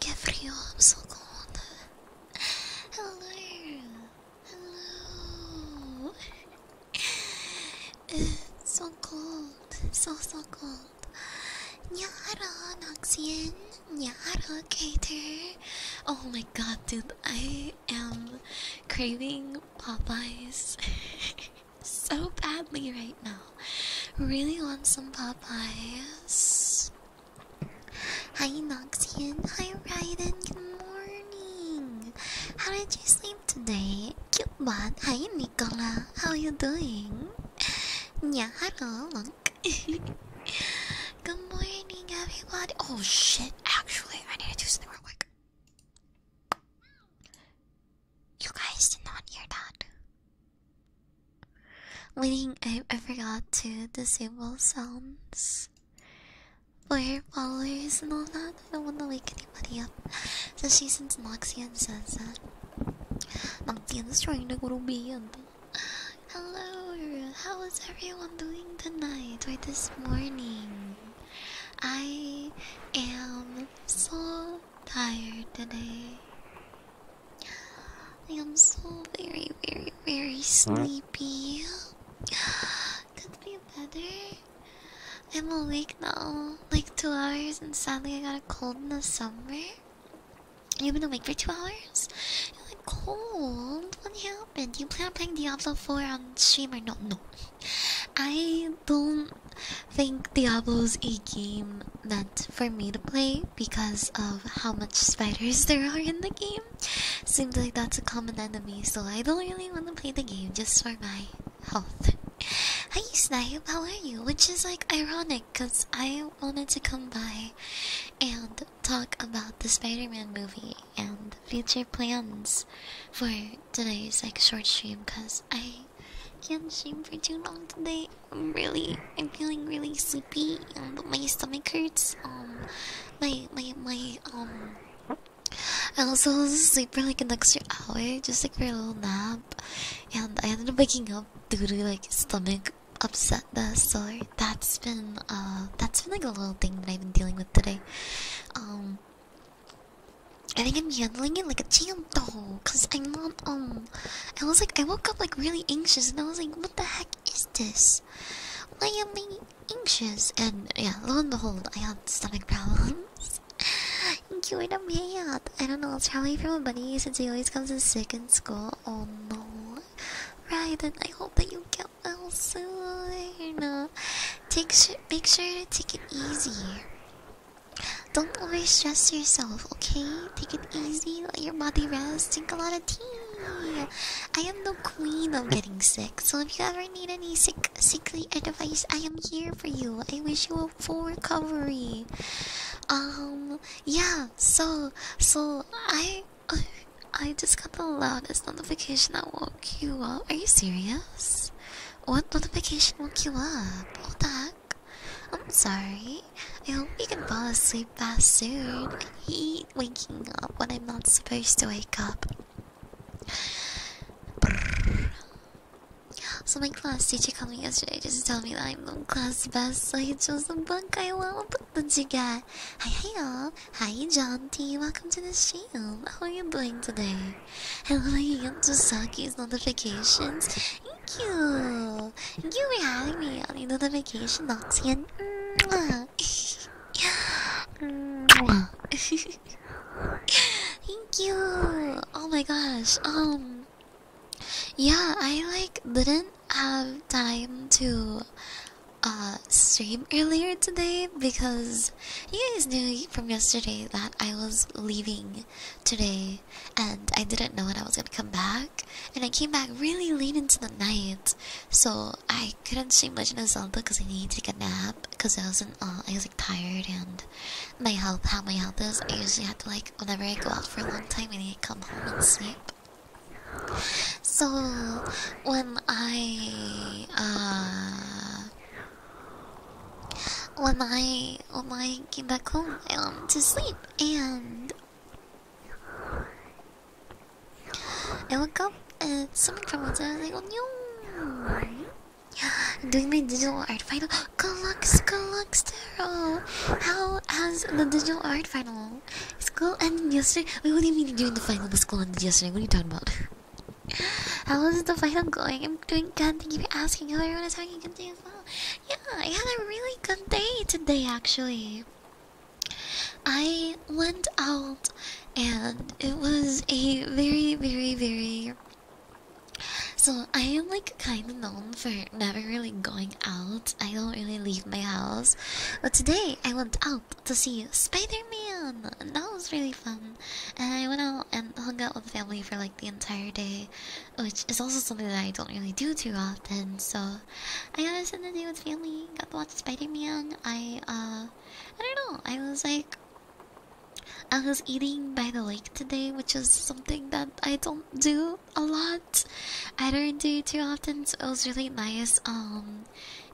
Que frio oh, Hello, hello. so cold, so so cold. Nyara, Noxian, Nyara, Kaiter. Oh my god, dude, I am craving Popeyes so badly right now. Really want some Popeyes. Hi, Noxian. Hi, Raiden. Good morning. How did you sleep? Today, cute Cubebot, hi Nicola, how are you doing? Yeah, hello, monk. Good morning, everybody. Oh shit! Actually, I need to do something real quick. You guys did not hear that. Waiting, I, I forgot to disable sounds for followers and all that. I don't want to wake anybody up. So she sends Noxie and says that Noxie is trying to go to bed. Hello, how is everyone doing tonight or this morning? I am so tired today. I am so very, very, very sleepy. Could be better. I'm awake now, like two hours, and sadly I got a cold in the summer. You've been awake for two hours? you like cold? What happened? You plan on playing Diablo 4 on stream or not? No. I don't think Diablo is a game meant for me to play because of how much spiders there are in the game. Seems like that's a common enemy, so I don't really want to play the game just for my health. Hi, how are you? Which is like ironic because I wanted to come by and talk about the Spider Man movie and future plans for today's like short stream because I can't stream for too long today. I'm really, I'm feeling really sleepy and my stomach hurts. Um, my, my, my, um, I also for like an extra hour, just like for a little nap, and I ended up waking up due to like stomach upsetness. So that's been uh, that's been like a little thing that I've been dealing with today. Um, I think I'm handling it like a champ though, cause I'm not um. I was like, I woke up like really anxious, and I was like, what the heck is this? Why am I anxious? And yeah, lo and behold, I had stomach problems. Cured a man. I don't know. It's probably from a bunny since he always comes in sick in school. Oh no. Right, and I hope that you get well soon. Take sh make sure to take it easy. Don't over stress yourself, okay? Take it easy, let your body rest, drink a lot of tea. I am the queen of getting sick, so if you ever need any sick sickly advice, I am here for you. I wish you a hope for recovery. Um, yeah, so, so, I, I, just got the loudest notification that woke you up. Are you serious? What notification woke you up? What the I'm sorry. I hope you can fall asleep fast soon. I hate waking up when I'm not supposed to wake up. So my class teacher called me yesterday just to tell me that I'm the class best. So I chose the bunk I want. What did you get? Hi, hi y'all. Hi, John T. Welcome to the channel. How are you doing today? Hello. You how to get Saki's notifications. Thank you. Thank you for having me on the notification box again. Thank you. Oh my gosh. Um yeah, I like didn't have time to uh stream earlier today because you guys knew from yesterday that I was leaving today and I didn't know when I was gonna come back and I came back really late into the night so I couldn't stream much in the Zelda because I needed to take a nap because I wasn't uh, I was like tired and my health, how my health is, I usually have to like, whenever I go out for a long time, I need to come home and sleep. So, when I, uh, when I, when I came back home, I um, to sleep, and I woke up and something from outside, I was like, oh no! i doing my digital art final. Galux, Galux, how has the digital art final? School ended yesterday. Wait, what do you mean during the final? The school ended yesterday. What are you talking about? How is the final going? I'm doing good. Thank you for asking. How everyone is having a good day as well. Yeah, I had a really good day today, actually. I went out, and it was a very, very, very so I am like kind of known for never really going out. I don't really leave my house. But today I went out to see Spider-Man. And that was really fun. And I went out and hung out with family for like the entire day, which is also something that I don't really do too often. So I got to spend the day with family. Got to watch Spider-Man. I uh, I don't know. I was like. I was eating by the lake today, which is something that I don't do a lot. I don't do it too often, so it was really nice um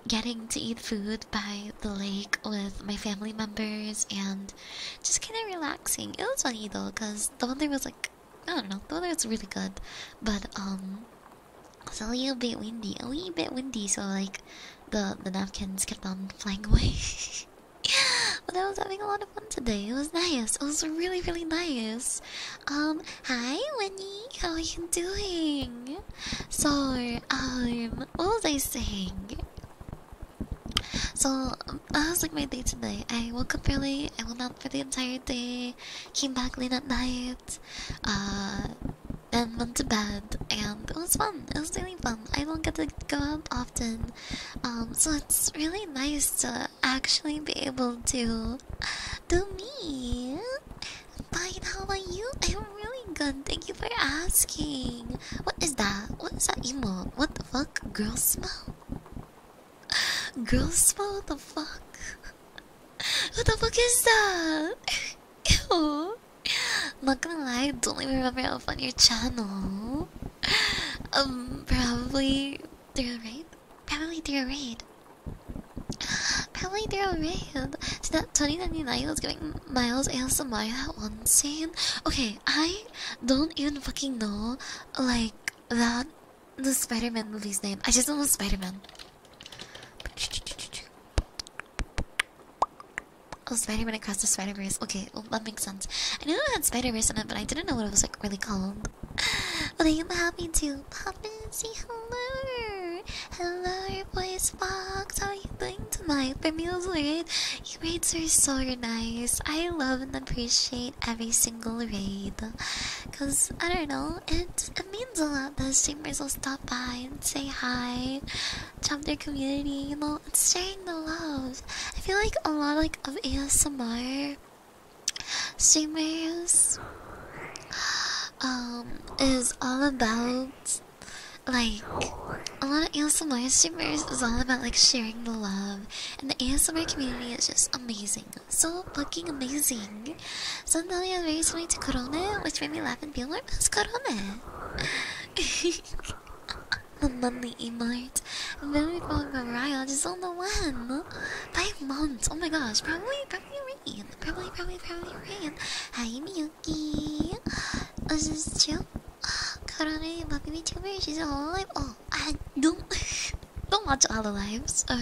getting to eat food by the lake with my family members and just kind of relaxing. It was funny though, cause the weather was like I don't know, the weather was really good, but um, it was a little bit windy, a little bit windy, so like the the napkins kept on flying away. but I was having a lot of fun today. It was nice. It was really, really nice. Um, hi, Winnie. How are you doing? So, um, what was I saying? So, um, that was like my day today. I woke up early. I went out for the entire day. Came back late at night. Uh, then went to bed, and it was fun. It was really fun. I don't get to go out often, um, so it's really nice to actually be able to do me. Fine, how about you? I'm really good. Thank you for asking. What is that? What is that emo? What the fuck? Girl smell? Girl smell? the fuck? What the fuck is that? Ew. I'm not gonna lie, I don't even remember how on your channel. Um, probably through a raid? Probably through a raid. Probably through a raid. See that 2099 was going Miles ASMR that one scene? Okay, I don't even fucking know, like, that the Spider-Man movie's name. I just know Spider-Man. Oh, Spider-Man Across the Spider-Verse. Okay, oh, that makes sense. I knew it had Spider-Verse in it, but I didn't know what it was, like, really called. But I am happy to pop in and say hello. Hello, voice box. How are you doing to my me, raid. Your raids are so nice. I love and appreciate every single raid. Cause I don't know, it it means a lot that streamers will stop by and say hi, jump their community. You know, it's sharing the love. I feel like a lot of ASMR streamers um is all about like a lot of ASMR streamers is all about like sharing the love and the ASMR community is just amazing. So fucking amazing. So Nalia very sweet to Corona, which made me laugh and be like, that's Corona. the monthly emote it. Very far Mariah, just on the one. Five months. Oh my gosh, probably, probably rain. Probably, probably, probably rain. am Miyuki. This is chill. Karane, my baby tuber, she's on alive. Oh, I don't don't watch all the lives. Or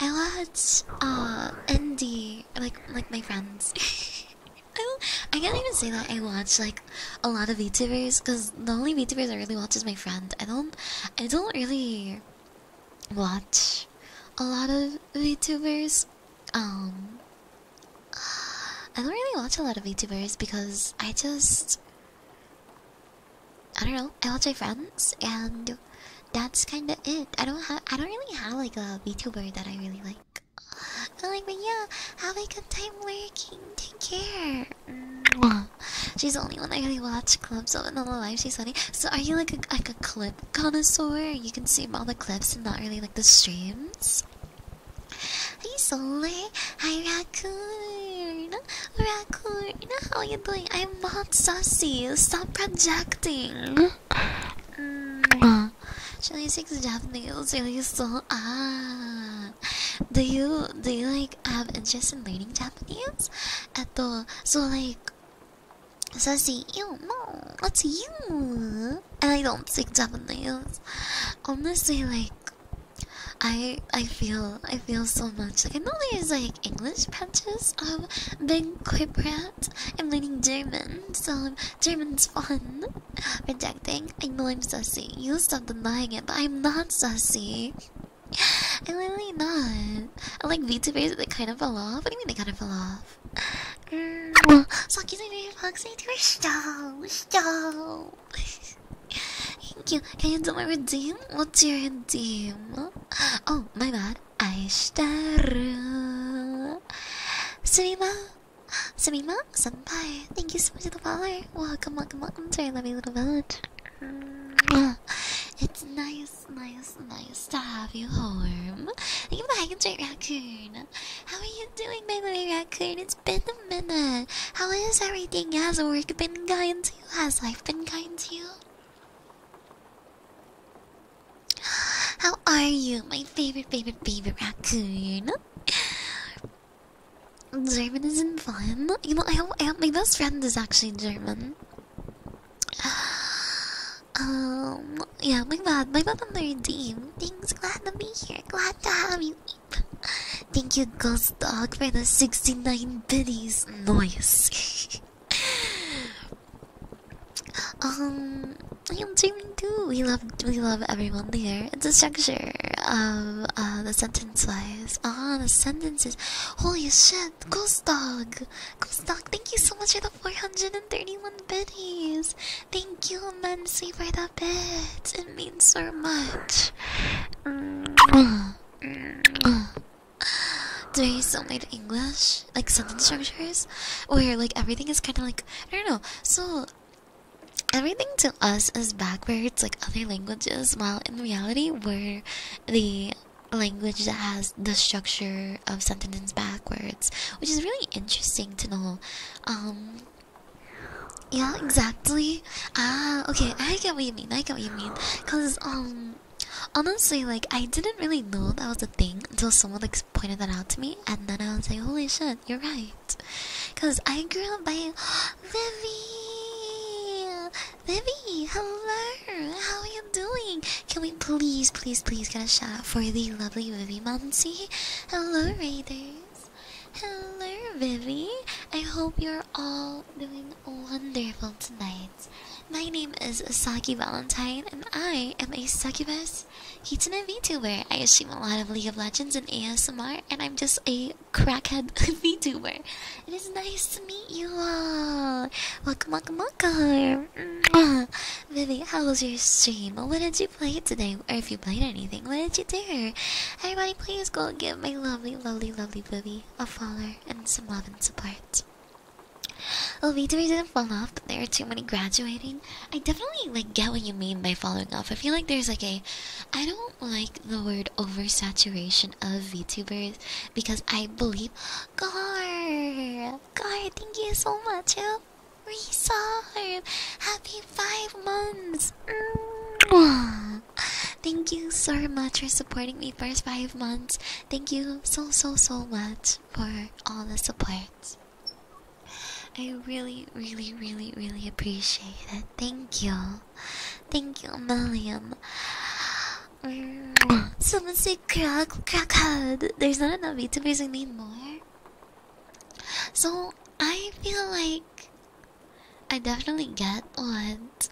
I watch uh Andy, like like my friends. I, I can't even say that I watch like a lot of YouTubers because the only VTubers I really watch is my friend. I don't, I don't really watch a lot of VTubers. Um, I don't really watch a lot of VTubers because I just, I don't know. I watch my friends, and that's kind of it. I don't have, I don't really have like a VTuber that I really like. like, but yeah, have a good time working. Take care. She's the only one I really watch clips of in the live she's funny. So are you like a like a clip connoisseur? You consume all the clips and not really like the streams. Are Hi Sole, hi Raccoon, oh, Raccoon, how are you doing? I'm not sassy, stop projecting. Chili mm. six Japanese really so ah. Do you do you like have interest in learning Japanese? so like, sassy, you know, that's you. And I don't speak Japanese. Honestly, like, I I feel I feel so much like I know there's like English patches of being quipprat. I'm learning German, so German's fun. Rejecting. I know I'm sassy. You will stop denying it, but I'm not sassy. I'm literally not. I like VTubers They kind of fell off. What do you mean they kind of fell off? Mm. Stop! Stop! Thank you. Can you do my redeem? What's your redeem? Oh, my bad. Aishtaru. Sumima. Sumima, senpai. Thank you so much for the follower. Welcome, welcome, welcome to our lovely little village. Uh, it's nice, nice, nice to have you home. Thank you for the hydrate, Raccoon. How are you doing, my little Raccoon? It's been a minute. How is everything? Has work been kind to you? Has life been kind to you? How are you, my favorite, favorite, favorite raccoon? German isn't fun. You know, I hope, I hope my best friend is actually German. Um, yeah, my bad, my bad on the redeem. Thanks, glad to be here, glad to have you. Thank you, Ghost Dog, for the 69 biddies. noise. um, I am German too. We love, we love everyone here. It's a structure of uh, the center sentences. Ah, the sentences. Holy shit. Ghost Dog. Ghost Dog, thank you so much for the 431 biddies. Thank you immensely for the bits. It means so much. Do you still made English? Like sentence structures? Where like everything is kind of like, I don't know. So, everything to us is backwards, like other languages, while in reality, we're the language that has the structure of sentences backwards, which is really interesting to know. Um, yeah, exactly. Ah, okay, I get what you mean. I get what you mean. Cause um, honestly, like I didn't really know that was a thing until someone like pointed that out to me, and then I was like, holy shit, you're right. Cause I grew up by Livy. Vivi, hello. How are you doing? Can we please, please, please get a shout out for the lovely Vivi Monty? Hello, Raiders. Hello, Vivi. I hope you're all doing wonderful tonight. My name is Saki Valentine, and I am a succubus He's an VTuber. I stream a lot of League of Legends and ASMR, and I'm just a crackhead VTuber. It is nice to meet you all. Welcome, welcome, welcome. Mm-hmm. Vivi, how was your stream? What did you play today? Or if you played anything, what did you do? Everybody, please go and give my lovely, lovely, lovely Vivi a follower and some love and support. Well, oh, VTubers didn't fall off, but there are too many graduating. I definitely like get what you mean by falling off. I feel like there's like a, I don't like the word oversaturation of VTubers because I believe Gar Gar, thank you so much. Resub, happy five months. Mm. Thank you so much for supporting me first five months. Thank you so so so much for all the support. I really, really, really, really appreciate it. Thank you. Thank you, Milliam. Mm. Someone say crack, crackhead. There's not enough VTubers. We need more. So I feel like I definitely get what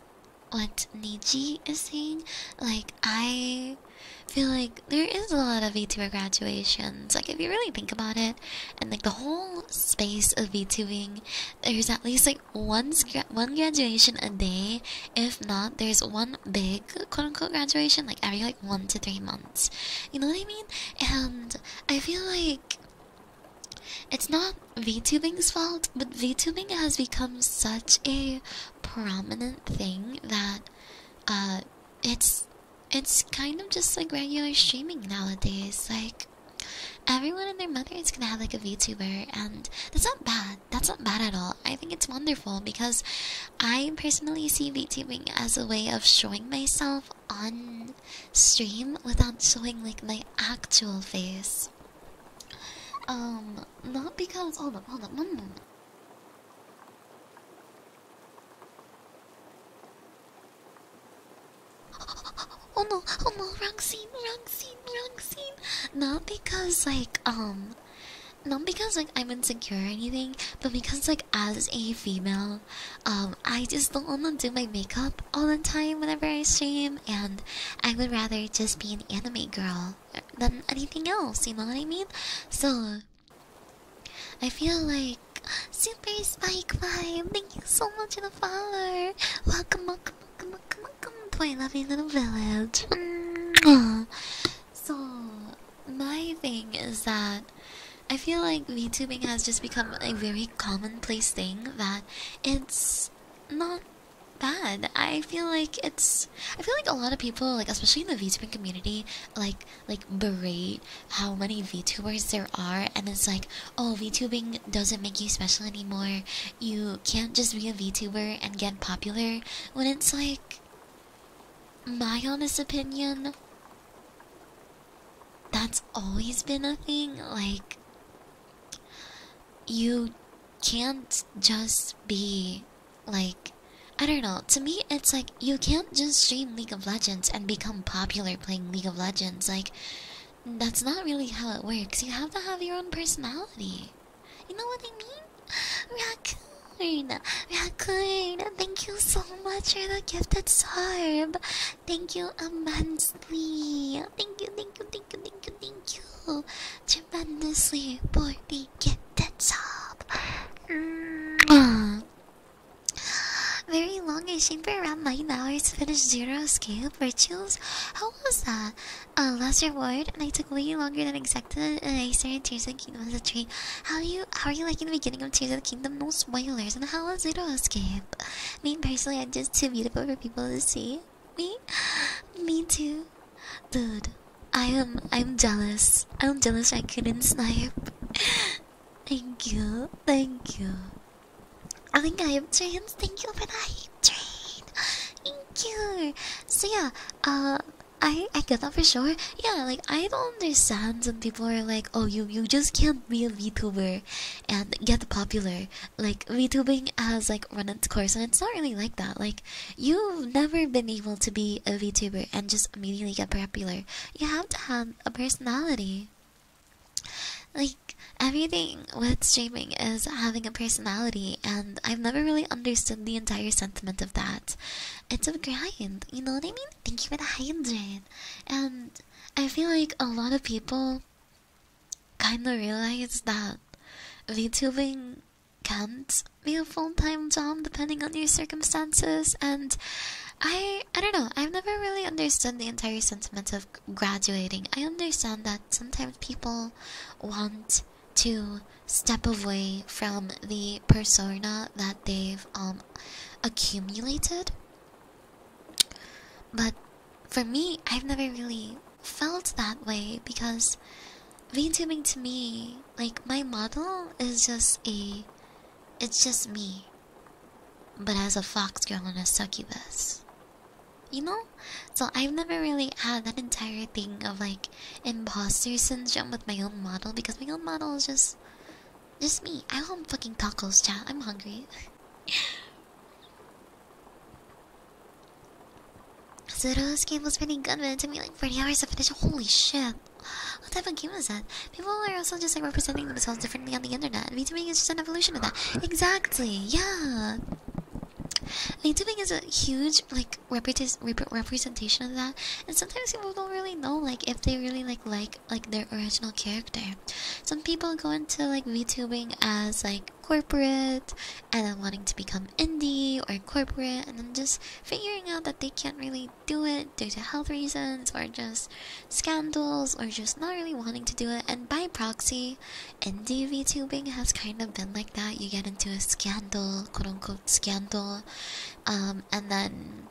what Niji is saying. Like I feel like there is a lot of VTuber graduations. Like if you really think about it, and like the whole space of VTubing, there's at least like like one graduation a day. If not, there's one big quote unquote graduation like every like one to three months. You know what I mean? And I feel like it's not VTubing's fault, but VTubing has become such a prominent thing that uh, it's it's kind of just like regular streaming nowadays. Like everyone and their mother is gonna have like a VTuber, and that's not bad. That's not bad at all. I think it's wonderful because I personally see VTubing as a way of showing myself on stream without showing like my actual face. Um, not because. Hold up, hold up, one moment. Oh no, oh no, wrong scene, wrong scene not because like um, not because like I'm insecure or anything, but because like as a female, um, I just don't wanna do my makeup all the time whenever I stream, and I would rather just be an anime girl than anything else. You know what I mean? So I feel like super spike vibe. Thank you so much for the follow. Welcome, welcome, come on, come on, come on, to my lovely little village. so, my thing is that I feel like VTubing has just become a very commonplace thing that it's not bad. I feel like it's. I feel like a lot of people, like especially in the VTubing community, like like berate how many VTubers there are, and it's like, oh, VTubing doesn't make you special anymore. You you can't just be a VTuber and get popular when it's like, my honest opinion, that's always been a thing. Like, you can't just be like, I don't know, to me it's like you can't just stream League of Legends and become popular playing League of Legends. Like, that's not really how it works. You have to have your own personality. You know what I mean? Raccoon! Raccoon! Thank you so much for the gifted sub! Thank you immensely! Thank you, thank you, thank you, thank you, thank you! Tremendously for the gifted sub! Mm. Very long and shame for around 9 hours to finish Zero Escape Rituals? How was that? uh, less reward, and I took way longer than expected, and I started Tears of the Kingdom as a tree. How are you? How are you liking the beginning of Tears of the Kingdom? No spoilers, and how was Zero Escape? Me personally, I'm just too beautiful for people to see. Me, me too, dude. I am. I'm jealous. I'm jealous. I couldn't snipe. thank you. Thank you. I think I have changed. Thank you for that train. Thank So yeah, uh, I I get that for sure. Yeah, like I don't understand when people are like, oh, you you just can't be a VTuber and get popular. Like VTubing has like run its course, and it's not really like that. Like you've never been able to be a VTuber and just immediately get popular. You have to have a personality. Like everything thing with streaming is having a personality, and I've never really understood the entire sentiment of that. It's a grind, you know what I mean? Thank you for the hydrate. And I feel like a lot of people kind of realize that VTubing can't be a full-time job depending on your circumstances and I I don't know, I've never really understood the entire sentiment of graduating. I understand that sometimes people want to step away from the persona that they've um, accumulated. But for me, I've never really felt that way because VTubing to me, like my model is just a it's just me. But as a fox girl and a succubus you know? So I've never really had that entire thing of like imposter syndrome with my own model because my own model is just just me. I want fucking tacos, chat. I'm hungry. so this game was pretty good, but it took me like 40 hours to finish. Holy shit. What type of game is that? People are also just like representing themselves differently on the internet. Me VTubing is just an evolution of that. Exactly, yeah. VTubing is a huge like representation of that and sometimes people don't really know like if they really like like like their original character some people go into like vtubing as like corporate and then wanting to become indie or corporate and then just figuring out that they can't really do it due to health reasons or just scandals or just not really wanting to do it and by proxy indie tubing has kind of been like that. You get into a scandal, quote unquote scandal, um, and then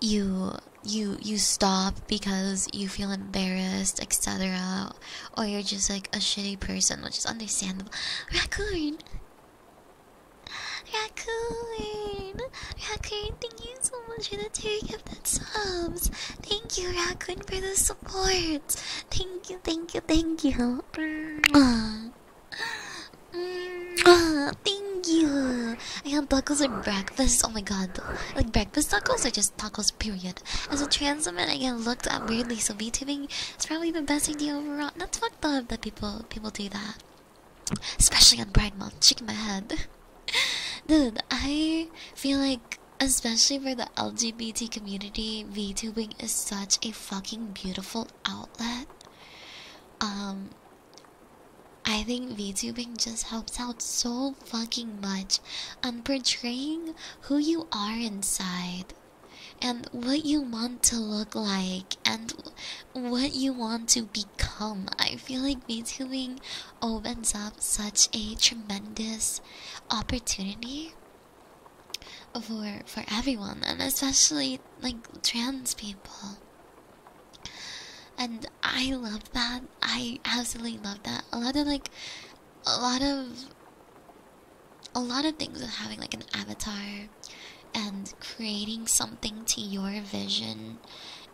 you you you stop because you feel embarrassed, etc. Or you're just like a shitty person, which is understandable. Racoon, racoon, Raccoon, thank you so much for the tearing of that subs! Thank you, racoon, for the support! Thank you, thank you, thank you! Thank you. I had tacos for breakfast. Oh my god. Like breakfast tacos are just tacos, period. As a trans woman, I get looked at weirdly, so VTubing is probably the best idea overall. That's fucked up that people people do that. Especially on Pride Month. Shaking my head. Dude, I feel like, especially for the LGBT community, VTubing is such a fucking beautiful outlet. Um, I think VTubing just helps out so fucking much on portraying who you are inside and what you want to look like and what you want to become. I feel like VTubing opens up such a tremendous opportunity for for everyone and especially like trans people and i love that i absolutely love that a lot of like a lot of a lot of things with having like an avatar and creating something to your vision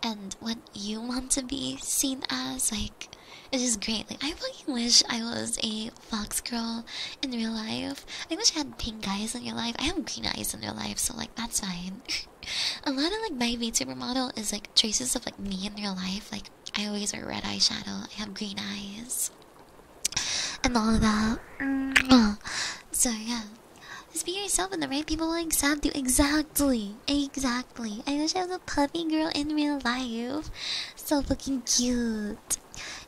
and what you want to be seen as like it's just great like i fucking wish i was a fox girl in real life. I wish I had pink eyes in real life. I have green eyes in real life, so like that's fine. a lot of like my VTuber model is like traces of like me in real life. Like I always wear red eyeshadow. I have green eyes. And all of that. So yeah. Just be yourself and the right people will accept you. Exactly. Exactly. I wish I was a puppy girl in real life. So fucking cute.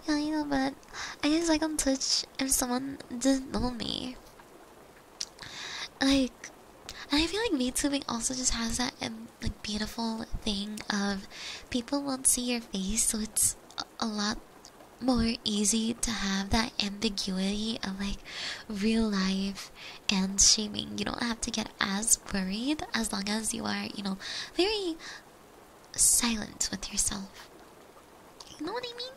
Yeah, you know, but I just like I am touched if someone does not know me. Like, and I feel like VTubing also just has that um, like beautiful thing of people won't see your face, so it's a lot more easy to have that ambiguity of like real life and shaming. You don't have to get as worried as long as you are, you know, very silent with yourself. You know what I mean?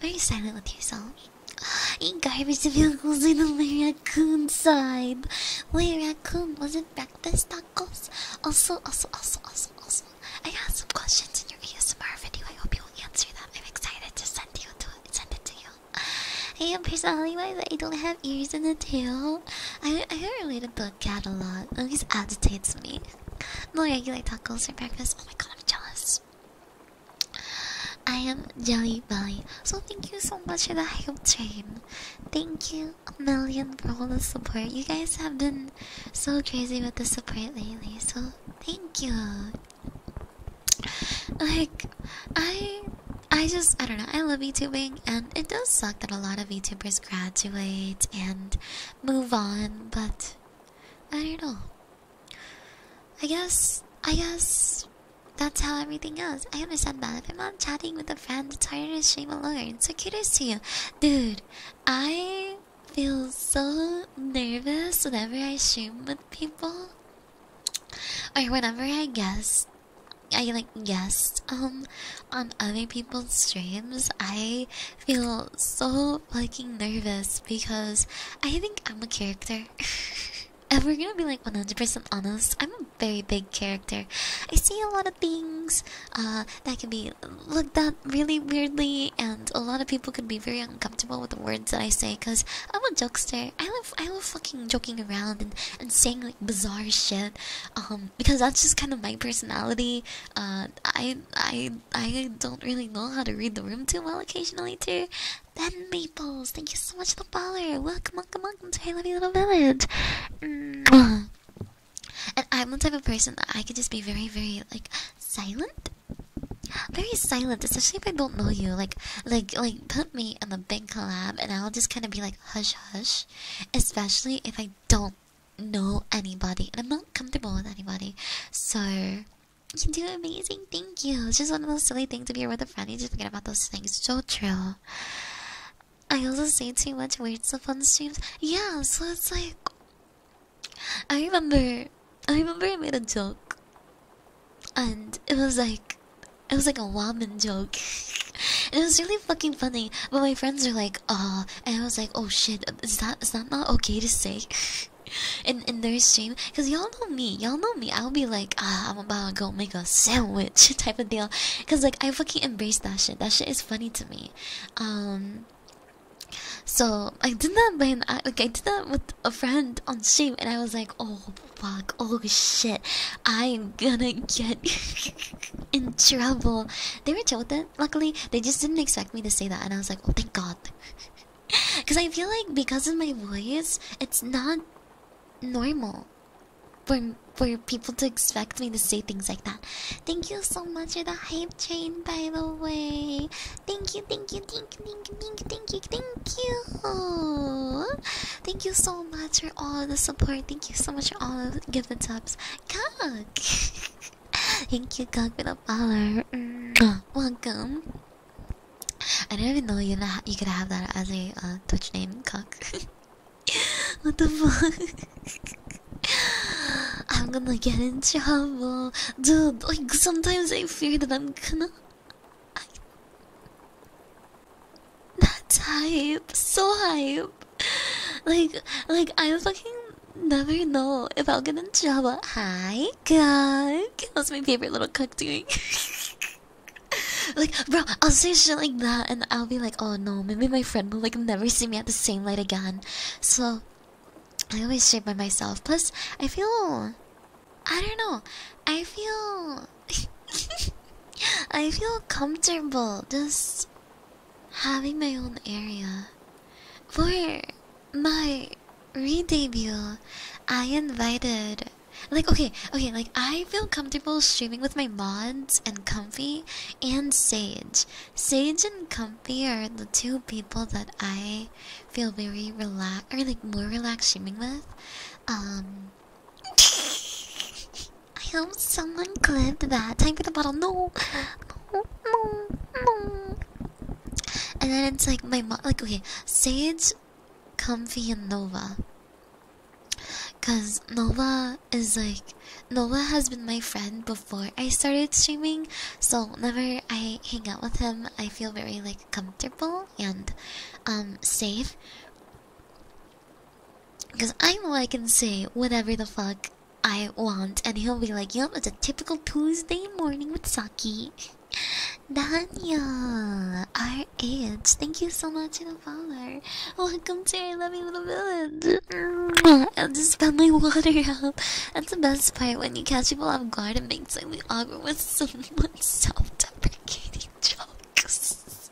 Very silent with yourself. In the vehicles in the raccoon side. Where raccoon, was it breakfast tacos? Also, also, also, also, also. I have some questions in your ASMR video. I hope you will answer them. I'm excited to send you to send it to you. I am personally wise. I don't have ears and a tail. I I don't really the catalog. always oh, agitates me. No regular tacos for breakfast. Oh my god, I'm jealous. I am Jelly Belly. So thank you so much for the hype train. Thank you a million for all the support. You guys have been so crazy with the support lately. So thank you. Like I I just I don't know. I love YouTubing, and it does suck that a lot of YouTubers graduate and move on, but I don't know. I guess I guess that's how everything goes. I understand that if I'm not chatting with a friend, tired harder to stream alone. So kudos to you, dude. I feel so nervous whenever I stream with people, or whenever I guess I like guess um on other people's streams, I feel so fucking nervous because I think I'm a character. And we're gonna be like 100% honest, I'm a very big character. I see a lot of things uh, that can be looked at really weirdly, and a lot of people can be very uncomfortable with the words that I say because I'm a jokester. I love, I love fucking joking around and, and saying like bizarre shit um, because that's just kind of my personality. Uh, I I I don't really know how to read the room too well occasionally too. Ben Maples, thank you so much for the follower. Welcome, welcome, welcome to our lovely little village. Mm. And I'm the type of person that I could just be very, very like silent. Very silent, especially if I don't know you. Like, like, like, put me in the big collab, and I'll just kind of be like, hush, hush. Especially if I don't know anybody and I'm not comfortable with anybody. So you do amazing, thank you. It's just one of those silly things if you're with a friend, you just forget about those things. So true. I also say too much weird stuff on streams. Yeah, so it's like I remember I remember I made a joke and it was like it was like a woman joke. it was really fucking funny. But my friends are like, oh, and I was like, oh shit, is that is that not okay to say? in in their stream, cause y'all know me, y'all know me. I'll be like, ah, I'm about to go make a sandwich type of deal, cause like I fucking embrace that shit. That shit is funny to me. Um, so I did that by like I did that with a friend on stream, and I was like, oh fuck, oh shit, I'm gonna get in trouble. They were chill with it luckily they just didn't expect me to say that, and I was like, "Oh, thank God," because I feel like because of my voice, it's not normal for for people to expect me to say things like that. Thank you so much for the hype train, by the way. Thank you, thank you, thank you, thank you, thank you, thank you, thank you. Thank you so much for all the support. Thank you so much for all of the give the tips. Cock. Thank you, God, for the follower. Welcome. I didn't even know you you could have that as a uh, Twitch name, cock. what the fuck? I'm gonna get in trouble, dude. Like sometimes I fear that I'm gonna. I... That hype, so hype like, like I fucking never know if I'll get in trouble. Hi, God, what's my favorite little cook doing. like, bro, I'll say shit like that, and I'll be like, oh no, maybe my friend will like never see me at the same light again. So, I always stay by myself. Plus, I feel, I don't know, I feel, I feel comfortable just having my own area. For my re-debut, I invited like okay, okay, like I feel comfortable streaming with my mods and Comfy and Sage. Sage and Comfy are the two people that I feel very relaxed or like more relaxed streaming with. Um I hope someone clipped that. Time for the bottle. No. No. And then it's like my mom, like, okay, Sage, Comfy, and Nova. Because Nova is like, Nova has been my friend before I started streaming. So whenever I hang out with him, I feel very like comfortable and um, safe. Because I know I can say whatever the fuck I want, and he'll be like, Yup, it's a typical Tuesday morning with Saki. Daniel, our age, thank you so much for the follower. Welcome to our lovely little village. I'll just spend my water out. That's the best part when you catch people off guard and make slightly awkward with someone self deprecating jokes.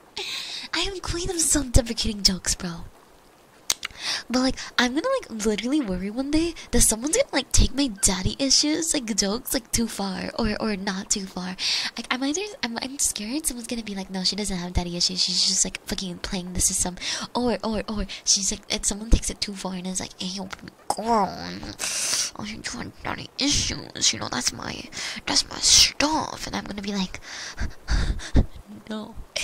I am queen of self deprecating jokes, bro. But like I'm gonna like literally worry one day that someone's gonna like take my daddy issues like jokes like too far or or not too far. Like I'm either I'm I'm scared someone's gonna be like no she doesn't have daddy issues she's just like fucking playing the system or or or she's like if someone takes it too far and is like hey girl oh you have daddy issues you know that's my that's my stuff and I'm gonna be like no.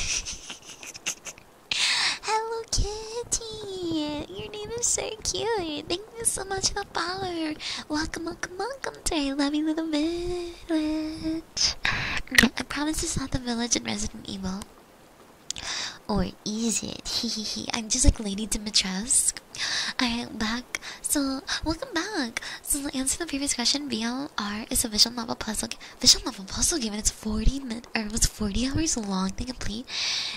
Hello Kitty! Your name is so cute! Thank you so much for follow! Welcome, welcome, welcome to I Love Little Village! Mm, I promise it's not the village in Resident Evil. Or is it? Hehehe. I'm just like Lady Dimitrescu. Alright, back. So, welcome back. So, to answer the previous question, VLR is a visual novel plus game. Vision Level Puzzle Game, and it's 40 min or it was 40 hours long to complete.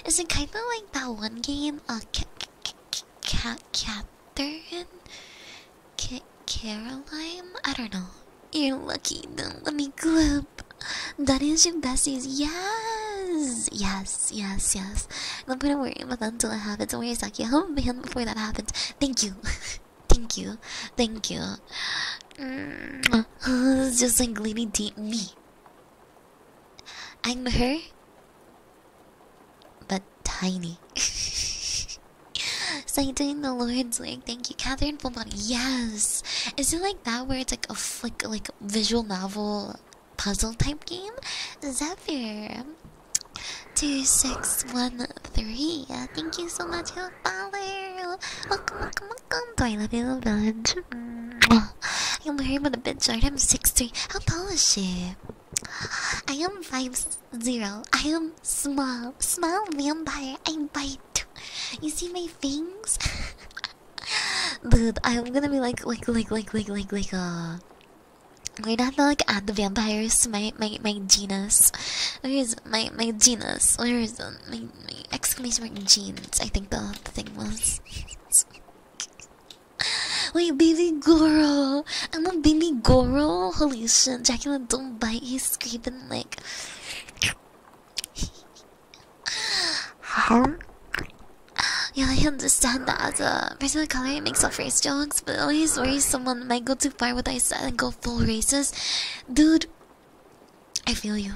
Is it kind of like that one game, uh, Cat, Catherine, K Caroline? I don't know. You're lucky. Don't let me clip. That is your besties. Yes, yes, yes, yes. I'm gonna worry about that until it happens. Don't worry, Saki. I'll my hand before that happens. Thank you. Thank you. Thank you yeah. Mm. it's just like Lady Deep Me. I'm her, but tiny. so you're the Lord's work. Thank you, Catherine Fulbody. Yes. Is it like that where it's like a like like visual novel puzzle type game? Zephyr. Two six one three. Thank you so much, Help Baller. Welcome, welcome, Makanto, I love you so much. I'm wearing with a bit short. I'm 6'3. How tall is she? I am 5'0. I am small. Small vampire. I bite. You see my fangs? Dude, I'm gonna be like, like, like, like, like, like, like, uh. We're not gonna like add the vampires to my, my, my genus. Where is my, my genus? Where is my, ex exclamation mark jeans, I think the, the thing was. Wait, baby girl, I'm a baby girl. Holy shit, Dracula, don't bite, he's screaming like. Huh? Yeah, I understand that uh, as color, makes up race jokes, but always worry someone might go too far with what I said and go full races, Dude, I feel you.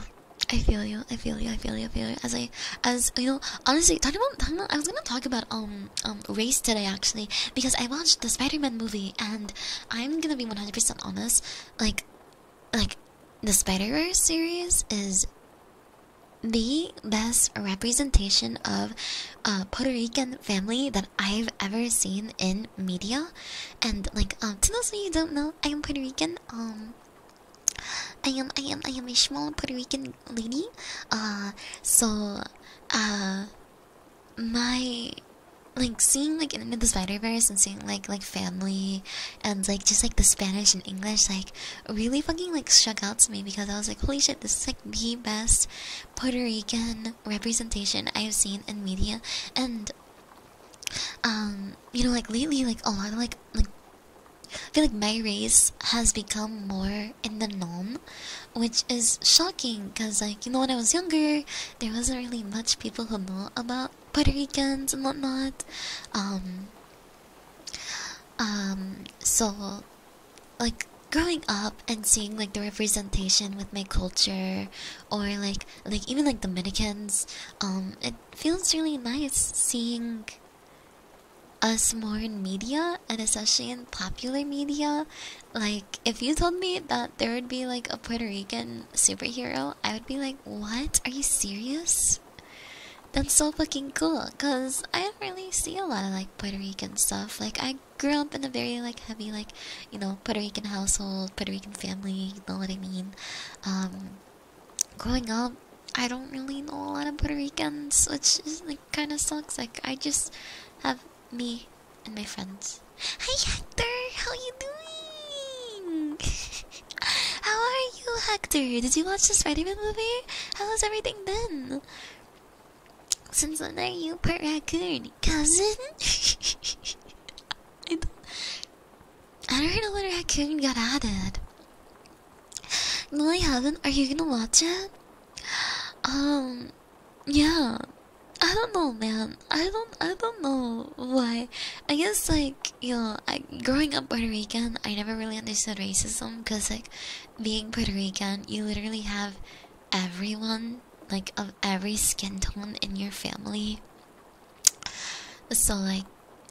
I feel you. I feel you. I feel you. I feel you. As I, as you know, honestly, talking about, talking about I was gonna talk about um um race today actually because I watched the Spider-Man movie and I'm gonna be 100% honest, like, like, the Spider-Verse series is the best representation of a Puerto Rican family that I've ever seen in media and like um, to those of you who don't know i am puerto rican um i am i am i am a small puerto rican lady uh so uh my like seeing like into the spider verse and seeing like like family and like just like the spanish and english like really fucking like struck out to me because i was like holy shit this is like the best puerto rican representation i have seen in media and um you know like lately like a lot of like like I feel like my race has become more in the norm, which is shocking because, like, you know, when I was younger, there wasn't really much people who know about Puerto Ricans and whatnot. Um, um, so, like, growing up and seeing, like, the representation with my culture or, like, like even, like, Dominicans, um, feels really nice seeing us more in media and especially in popular media. Like, if you told me that there would be like a Puerto Rican superhero, I would be like, What? Are you serious? That's so fucking cool because I don't really see a lot of like Puerto Rican stuff. Like, I grew up in a very like heavy, like, you know, Puerto Rican household, Puerto Rican family, you know what I mean? Um, growing up, I don't really know a lot of Puerto Ricans, which is like kind of sucks. Like I just have me and my friends. Hi Hector, how are you doing? how are you, Hector? Did you watch the Spiderman movie? How has everything been? Since when are you part raccoon, cousin? I do I don't know little raccoon got added. Lily Haven, Are you gonna watch it? Um, yeah. I don't know, man. I don't. I don't know why. I guess like you know, growing up Puerto Rican, I never really understood racism because like being Puerto Rican, you literally have everyone like of every skin tone in your family so like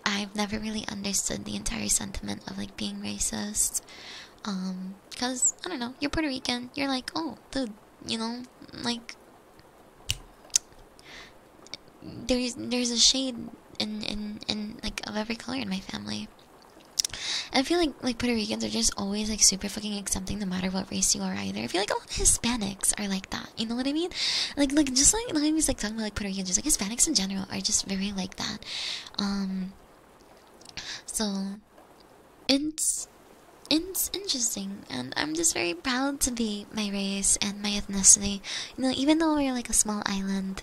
I've never really understood the entire sentiment of like being racist. Um, cause I don't know, you're Puerto Rican, you're like, oh dude, you know, like there's there's a shade in in in like of every color in my family. I feel like like Puerto Ricans are just always like super fucking accepting no matter what race you are either. I feel like all Hispanics are like that. You know what I mean? Like like just like like was like talking about like Puerto Rican, just like Hispanics in general are just very like that. Um so it's it's interesting and I'm just very proud to be my race and my ethnicity. You know, even though we're like a small island,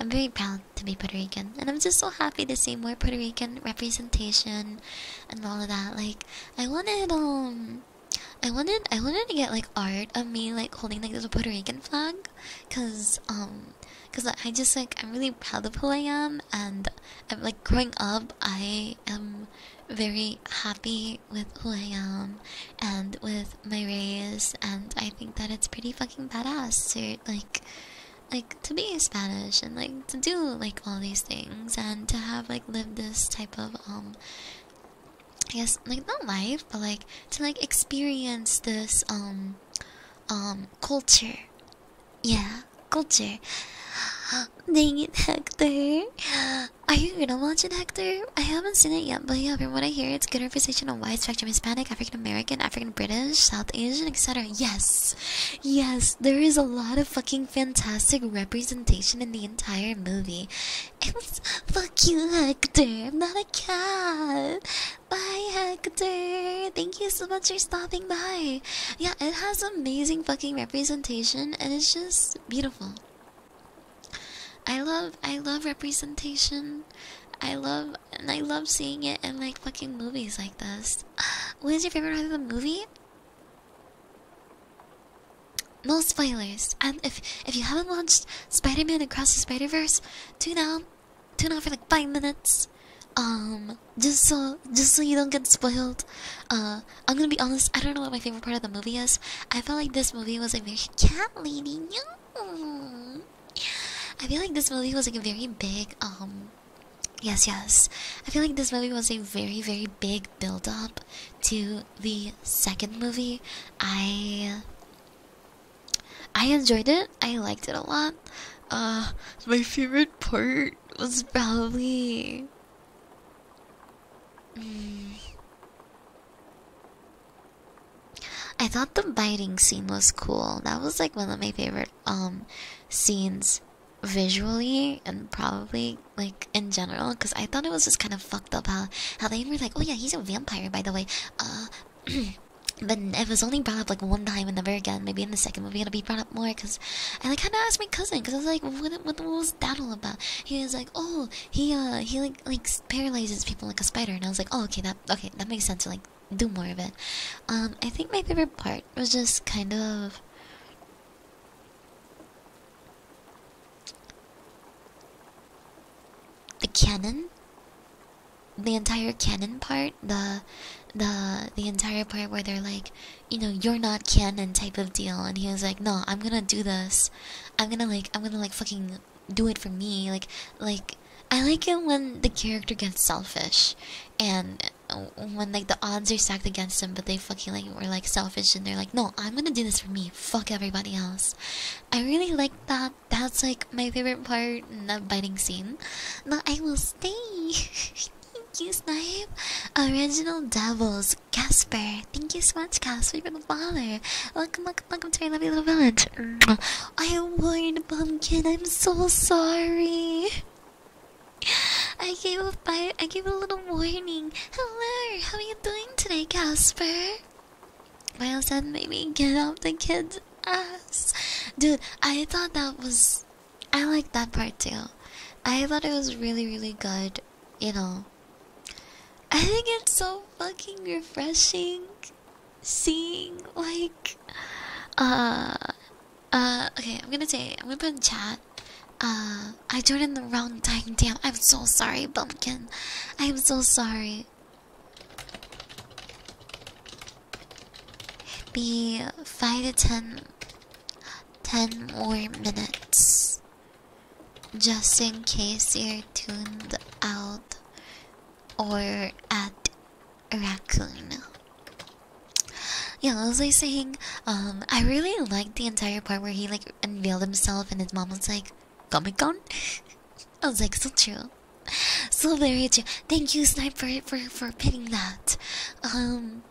I'm very proud to be Puerto Rican. And I'm just so happy to see more Puerto Rican representation and all of that. Like I wanted um I wanted I wanted to get like art of me like holding like this Puerto Rican flag cuz um cuz I just like I'm really proud of who I am and I'm like growing up I am very happy with who I am and with my race and I think that it's pretty fucking badass to like like to be Spanish and like to do like all these things and to have like lived this type of um I guess like not life, but like to like experience this um um culture. Yeah, culture. Dang it, Hector. Are you gonna watch it, Hector? I haven't seen it yet, but yeah, from what I hear, it's good representation of white, spectrum Hispanic, African American, African British, South Asian, etc. Yes, yes, there is a lot of fucking fantastic representation in the entire movie. Fuck you, Hector. I'm not a cat. Bye, Hector. Thank you so much for stopping by. Yeah, it has amazing fucking representation, and it's just beautiful. I love, I love representation. I love, and I love seeing it in like fucking movies like this. What is your favorite part of the movie? No spoilers. And if if you haven't watched Spider-Man Across the Spider-Verse, tune out, tune out for like five minutes. Um, just so just so you don't get spoiled. Uh, I'm gonna be honest. I don't know what my favorite part of the movie is. I felt like this movie was a very cat lady. I feel like this movie was like a very big um. Yes, yes. I feel like this movie was a very, very big build up to the second movie, I I enjoyed it. I liked it a lot. Uh, my favorite part was probably. Mm, I thought the biting scene was cool. That was like one of my favorite um, scenes visually and probably like in general cuz I thought it was just kind of fun about how they were like, oh yeah, he's a vampire by the way. Uh, but it was only brought up like one time and never again. Maybe in the second movie it'll be brought up more because I like kind of asked my cousin because I was like, what, what what was that all about? He was like, oh, he uh he like like paralyzes people like a spider, and I was like, oh okay that okay that makes sense. to like do more of it. Um, I think my favorite part was just kind of. The cannon, the entire cannon part, the the the entire part where they're like, you know, you're not cannon type of deal, and he was like, no, I'm gonna do this, I'm gonna like, I'm gonna like fucking do it for me, like, like I like it when the character gets selfish, and uh, when like the odds are stacked against them, but they fucking like were like selfish and they're like, no, I'm gonna do this for me. Fuck everybody else. I really like that that's like my favorite part the biting scene But i will stay thank you snipe original devils casper thank you so much casper for the father welcome welcome welcome to my lovely little village i warned pumpkin i'm so sorry I gave a I gave a little warning. Hello, how are you doing today, Casper? Miles said, "Maybe get off the kid's ass." Dude, I thought that was. I like that part too. I thought it was really, really good. You know. I think it's so fucking refreshing seeing like uh uh okay i'm gonna say i'm gonna put in chat uh i joined in the wrong time damn i'm so sorry bumpkin i'm so sorry be five to ten, ten more minutes, just in case you're tuned out or at raccoon. Yeah, I was like saying, um, I really liked the entire part where he like unveiled himself and his mom was like, Comic Con? I was like, so true. So very true. Thank you, Snipe, for for putting that. Um,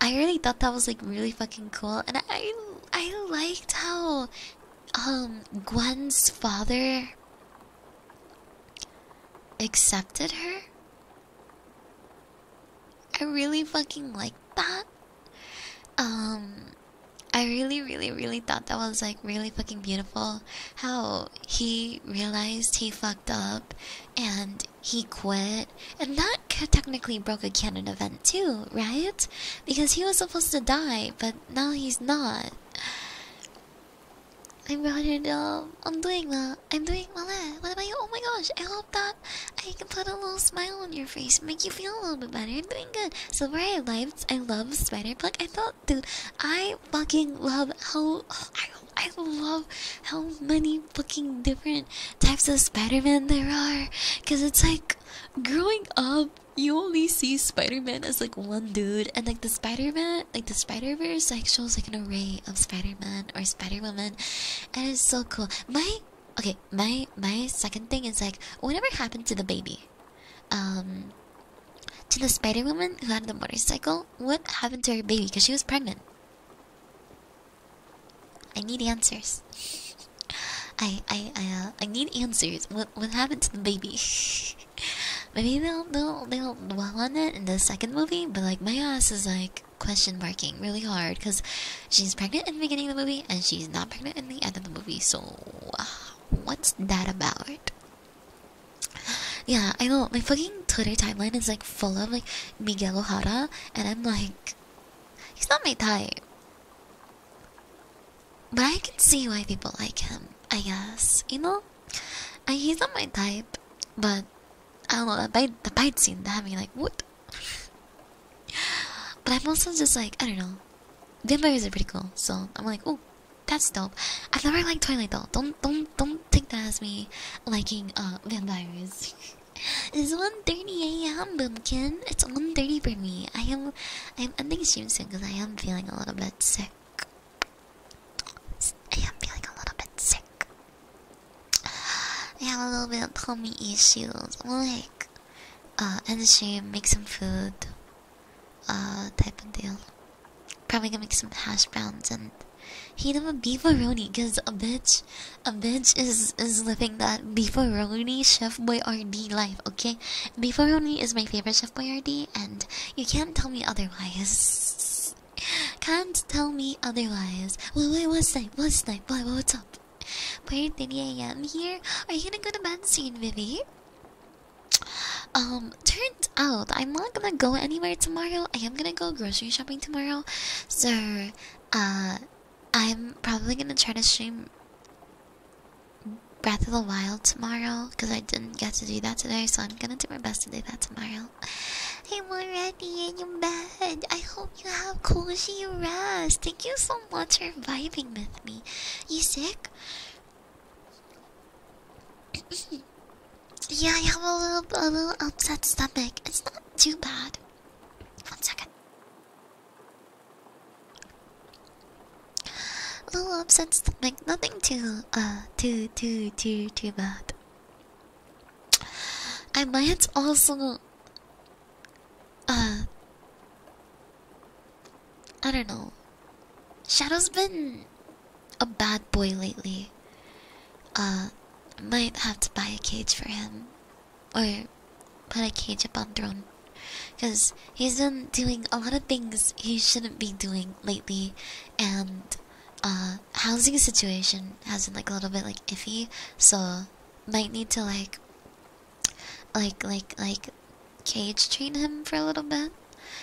I really thought that was like really fucking cool, and I I liked how um Gwen's father accepted her. I really fucking liked that. Um, I really, really, really thought that was like really fucking beautiful. How he realized he fucked up and he quit. And that technically broke a canon event too, right? Because he was supposed to die, but now he's not. I brought it up. I'm doing that. I'm doing that. What about you? Oh my gosh. I hope that I can put a little smile on your face, make you feel a little bit better. I'm doing good. So, right, like. I love Spider Plug. I thought, dude, I fucking love how I, I love how many fucking different types of Spider Man there are. Cause it's like growing up, you only see Spider Man as like one dude, and like the Spider Man, like the Spider Verse, like shows like an array of Spider Man or Spider Woman, and it's so cool. My Okay, my my second thing is like whatever happened to the baby? um, to the Spider Woman who had the motorcycle. What happened to her baby? Because she was pregnant. I need answers. I I uh, I, need answers. What what happened to the baby? Maybe they'll they'll they'll dwell on it in the second movie. But like my ass is like question marking really hard because she's pregnant in the beginning of the movie and she's not pregnant in the end of the movie. So. Ah. What's that about? Yeah, I know. My fucking Twitter timeline is like full of like Miguel Ojeda, and I'm like, he's not my type. But I can see why people like him, I guess. You know? I, he's not my type, but I don't know. That bite, the bite scene that had me like, what? but I'm also just like, I don't know. Vampires are pretty cool, so I'm like, oh, that's dope. I've never liked Twilight though. Don't don't don't take that as me liking uh, vampires. it's 1.30 a.m. Boomkin. It's 1.30 for me. I am I am ending stream soon because I am feeling a little bit sick. I am feeling a little bit sick. I have a little bit of tummy issues. I'm like, uh, end the stream, make some food, uh, type of deal. Probably gonna make some hash browns and heat up a beefaroni, cause a bitch, a bitch is is living that beefaroni chef Boyardee RD life. Okay, beefaroni is my favorite chef Boyardee, and you can't tell me otherwise. Can't tell me otherwise. Wait, wait, what's that? What's that? Wait, what's up? Where 3 a.m. here? Are you gonna go to bed soon, Vivi? Um, Turned out I'm not gonna go anywhere tomorrow. I am gonna go grocery shopping tomorrow. So, uh, I'm probably gonna try to stream Breath of the Wild tomorrow because I didn't get to do that today. So, I'm gonna do my best to do that tomorrow. I'm already in your bed. I hope you have cozy rest. Thank you so much for vibing with me. You sick? yeah, I have a little, a little upset stomach. It's not too bad. One second. A little upset stomach. Nothing too, uh, too, too, too, too bad. I might also, uh, I don't know. Shadow's been a bad boy lately. Uh, might have to buy a cage for him. Or put a cage up on throne. Because he's been doing a lot of things he shouldn't be doing lately. And, uh, housing situation has been like a little bit like iffy. So, might need to like, like, like, like, cage train him for a little bit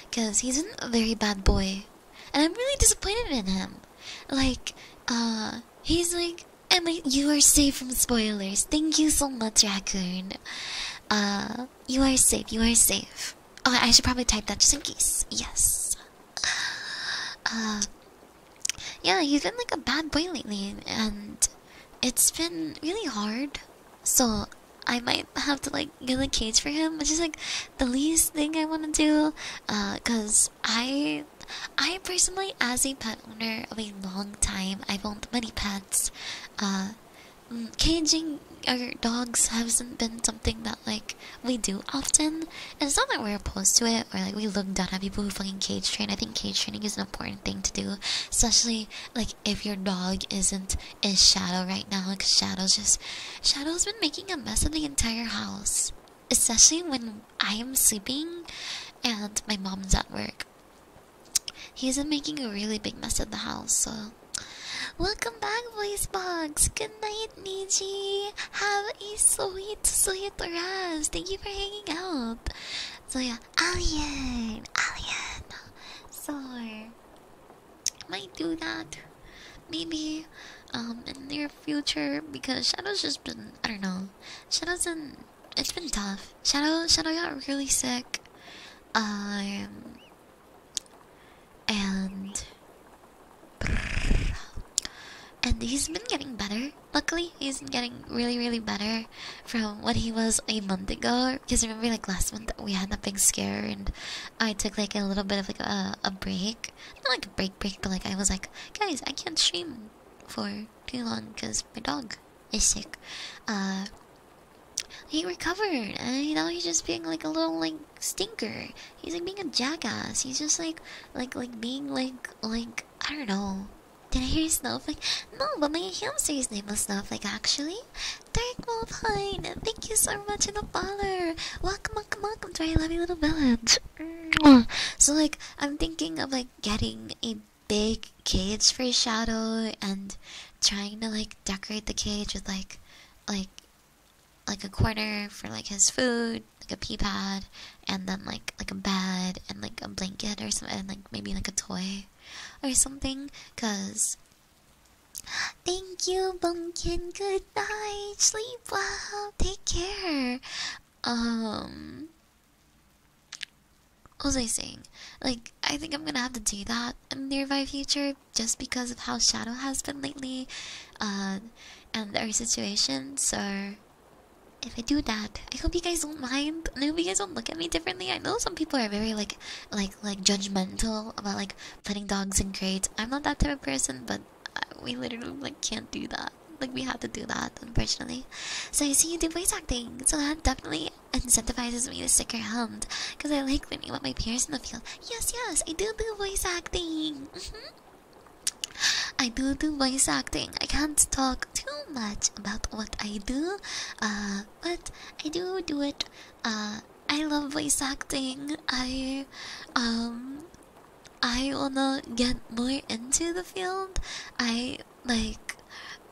because he's a very bad boy and i'm really disappointed in him like uh he's like emily you are safe from spoilers thank you so much raccoon uh you are safe you are safe oh i should probably type that just in case yes uh yeah he's been like a bad boy lately and it's been really hard so I might have to like get a cage for him, It's just like the least thing I want to do. Uh, cause I, I personally, as a pet owner of a long time, I've owned many pets. Uh, mm, caging our dogs hasn't been something that like we do often, and it's not that we're opposed to it or like we look down at people who fucking cage train. I think cage training is an important thing to do, especially like if your dog isn't is Shadow right now because Shadow's just Shadow's been making a mess of the entire house, especially when I am sleeping and my mom's at work. He's been making a really big mess of the house. So, welcome back, voice box. Good night, Niji. Have a sweet, sweet rest. Thank you for hanging out. So yeah, Alien, Alien, sorry might do that maybe um in near future because Shadow's just been I don't know. Shadow's been it's been tough. Shadow Shadow got really sick. Um and and he's been getting better. Luckily, he's getting really, really better from what he was a month ago because remember like last month we had that big scare and I took like a little bit of like a a break, not like a break break, but like I was like, guys, I can't stream for too long because my dog is sick. Uh, he recovered, and you know he's just being like a little like stinker. He's like being a jackass. He's just like like like being like like I don't know. Did I hear snuff? Like No, but my hamster's name was Like actually. Dark Wolf Hide, thank you so much for the follow. Welcome, welcome, welcome to our lovely little village. So like, I'm thinking of like getting a big cage for Shadow and trying to like decorate the cage with like, like, like a corner for like his food, like a pee pad, and then like like a bed and like a blanket or something, and like maybe like a toy or something, cause Thank you, Bunkin. Good night. Sleep well. Take care. Um, what was I saying? Like, I think I'm gonna have to do that in the nearby future just because of how Shadow has been lately uh, and our situation. So, if I do that, I hope you guys don't mind. I hope you guys don't look at me differently. I know some people are very like, like, like judgmental about like putting dogs in crates. I'm not that type of person, but we literally like can't do that. Like we have to do that, unfortunately. So I see you do voice acting, so that definitely incentivizes me to stick around. Cause I like learning about my peers in the field. Yes, yes, I do do voice acting. Mm-hmm. I do do voice acting. I can't talk too much about what I do, uh, but I do do it uh, I love voice acting. I um I wanna get more into the field. I like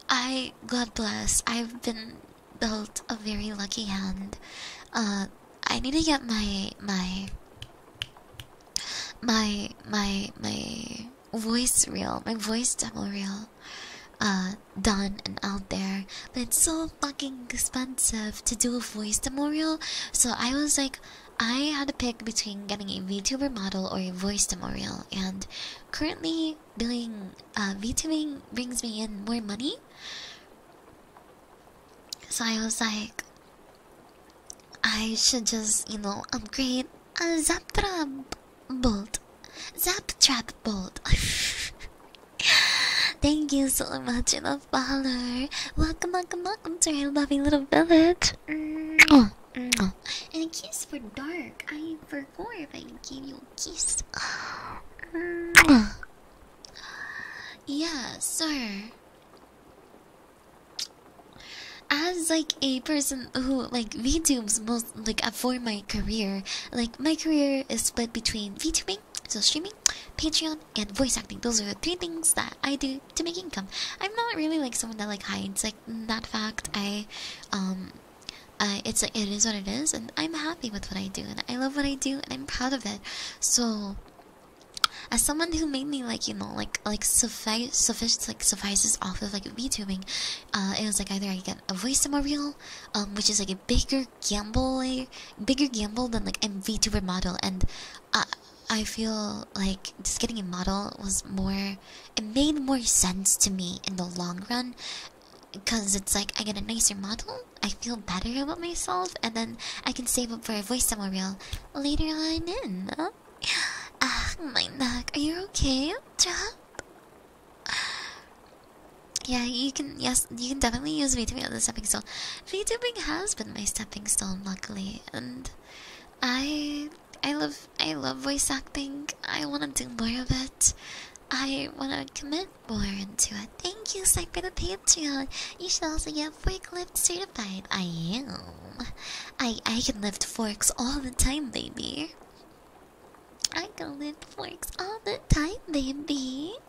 I God bless. I've been dealt a very lucky hand. Uh I need to get my my my my my voice reel, my voice demo reel. Uh done and out there, but it's so fucking expensive to do a voice tutorial. So I was like, I had to pick between getting a VTuber model or a voice tutorial, and currently doing uh, VTubing brings me in more money. So I was like, I should just, you know, upgrade a Zaptrap Bolt. Zaptrap Bolt. Thank you so much for the follow. Welcome, welcome, welcome to my lovely little village. And a kiss for dark. I forgot if I gave you a kiss. Mm Yeah, sir. As like a person who like VTubes most like uh, for my career, like my career is split between VTubing so streaming, Patreon, and voice acting. Those are the three things that I do to make income. I'm not really like someone that like hides like that fact. I, um, uh, it's like it is what it is, and I'm happy with what I do, and I love what I do, and I'm proud of it. So, as someone who made me like you know like like suffice sufficient like suffices off of like VTubing, uh, it was like either I get a voice in my real, um, which is like a bigger bigger gamble, bigger gamble than like a VTuber model, and I uh, I feel like just getting a model was more. It made more sense to me in the long run, because it's like I get a nicer model, I feel better about myself, and then I can save up for a voice demo reel later on in. Huh? Oh, ah, my neck. Are you okay? Drop yeah, you can. Yes, you can definitely use VTubing as a stepping stone. VTubing has been my stepping stone, luckily, and I, I love, I love voice acting. I want to do more of it. I want to commit more into it. Thank you, Psych, for the Patreon. You should also get forklift certified. I am. I I can lift forks all the time, baby. I can lift forks all the time, baby.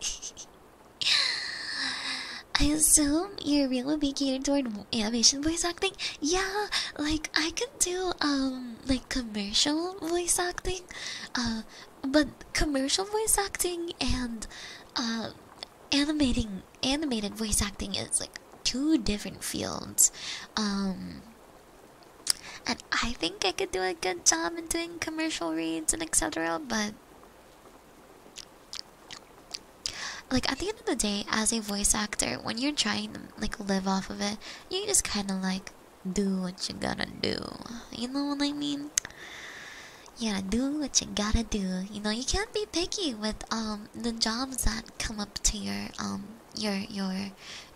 I assume your reel would be catered toward animation voice acting. Yeah, like I could do um like commercial voice acting, uh, but commercial voice acting and uh, animating animated voice acting is like two different fields. Um, I think I could do a good job in doing commercial reads and etc. But like at the end of the day, as a voice actor, when you're trying to like live off of it, you just kind of like do what you gotta do. You know what I mean? You gotta do what you gotta do. You know, you can't be picky with um the jobs that come up to your um your your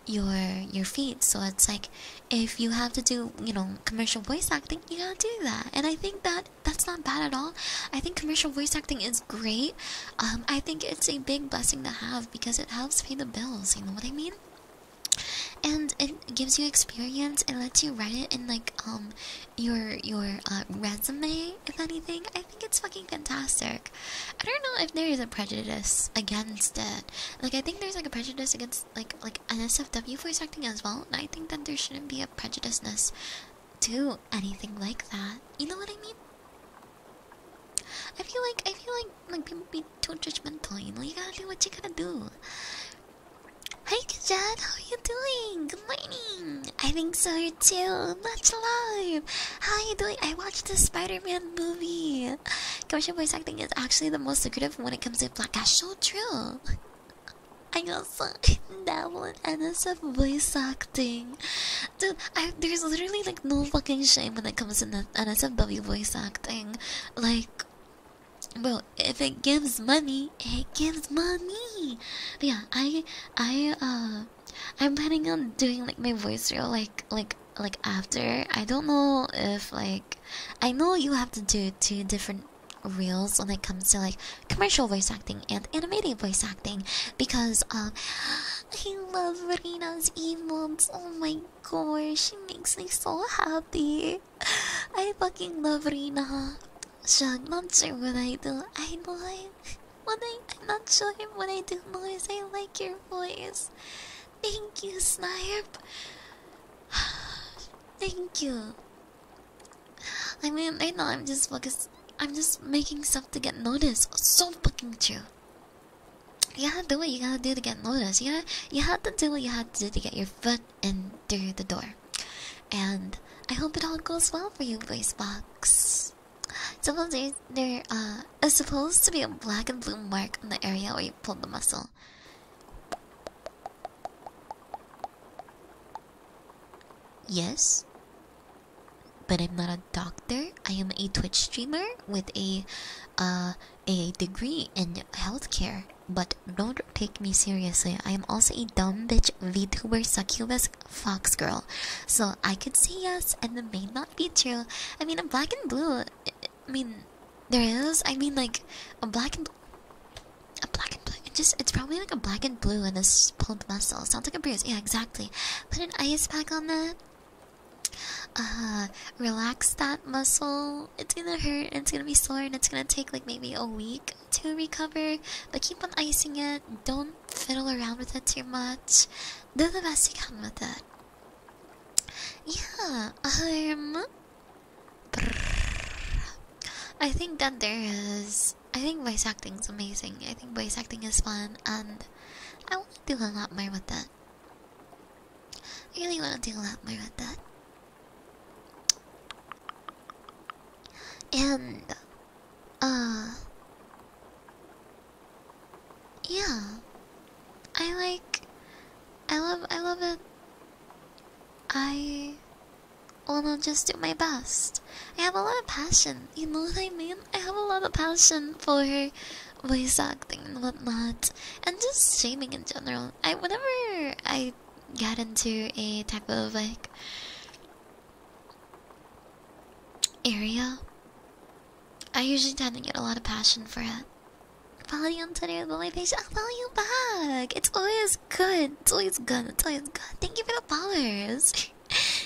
your your feet. So it's like if you have to do you know commercial voice acting you gotta do that and i think that that's not bad at all i think commercial voice acting is great um, i think it's a big blessing to have because it helps pay the bills you know what i mean and it gives you experience it lets you write it in like um your your uh, resume if anything i think it's fucking fantastic i don't know if there is a prejudice against it like i think there's like a prejudice against like like an voice acting as well, and I think that there shouldn't be a prejudiceness to anything like that. You know what I mean? I feel like I feel like like people be too judgmental. You know, you gotta do what you gotta do. Hey Kajad, how you doing? Good morning. I think so too. Much love. How are you doing? I watched the Spider-Man movie. Commercial voice acting is actually the most lucrative when it comes to black. That's so true. I got sucked in that one NSF voice acting. Dude, there's literally like no fucking shame when it comes to NSFW voice acting. Like, bro, if it gives money, it gives money. But yeah, I, I, uh, I'm planning on doing like my voice reel, like, like, like after. I don't know if like, I know you have to do two different Reels when it comes to like commercial voice acting and animated voice acting because um I love Rina's emotes. Oh my gosh, she makes me so happy. I fucking love Rina. Shug, not sure what I do. I like what I I'm not sure what I do, boys I like your voice. Thank you, Snipe. Thank you. I mean, I know I'm just focused. I'm just making stuff to get noticed. So fucking true. You gotta do what you gotta do to get noticed. You gotta, you had to do what you had to do to get your foot in through the door. And I hope it all goes well for you, voice box. Suppose there, there uh, is supposed to be a black and blue mark on the area where you pulled the muscle. Yes, but I'm not a doctor. I am a Twitch streamer with a uh, a degree in healthcare. But don't take me seriously. I am also a dumb bitch VTuber succubus fox girl. So I could say yes, and it may not be true. I mean, a black and blue. I mean, there is. I mean, like a black and a black and blue. just it's probably like a black and blue and this pulled muscle. Sounds like a bruise. Yeah, exactly. Put an ice pack on that. Uh, relax that muscle. It's gonna hurt and it's gonna be sore and it's gonna take like maybe a week to recover. But keep on icing it. Don't fiddle around with it too much. Do the best you can with it. Yeah. Um. I think that there is. I think voice acting is amazing. I think voice acting is fun, and I want to do a lot more with that. I really want to do a lot more with that. And, uh, yeah, I like, I love, I love it. I well, I'll just do my best. I have a lot of passion, you know what I mean? I have a lot of passion for voice acting and whatnot, and just shaming in general. I whenever I get into a type of like area, I usually tend to get a lot of passion for it. Follow you on Twitter with my face. i follow you back. It's always good good. It's always good. It's always good. Thank you for the followers.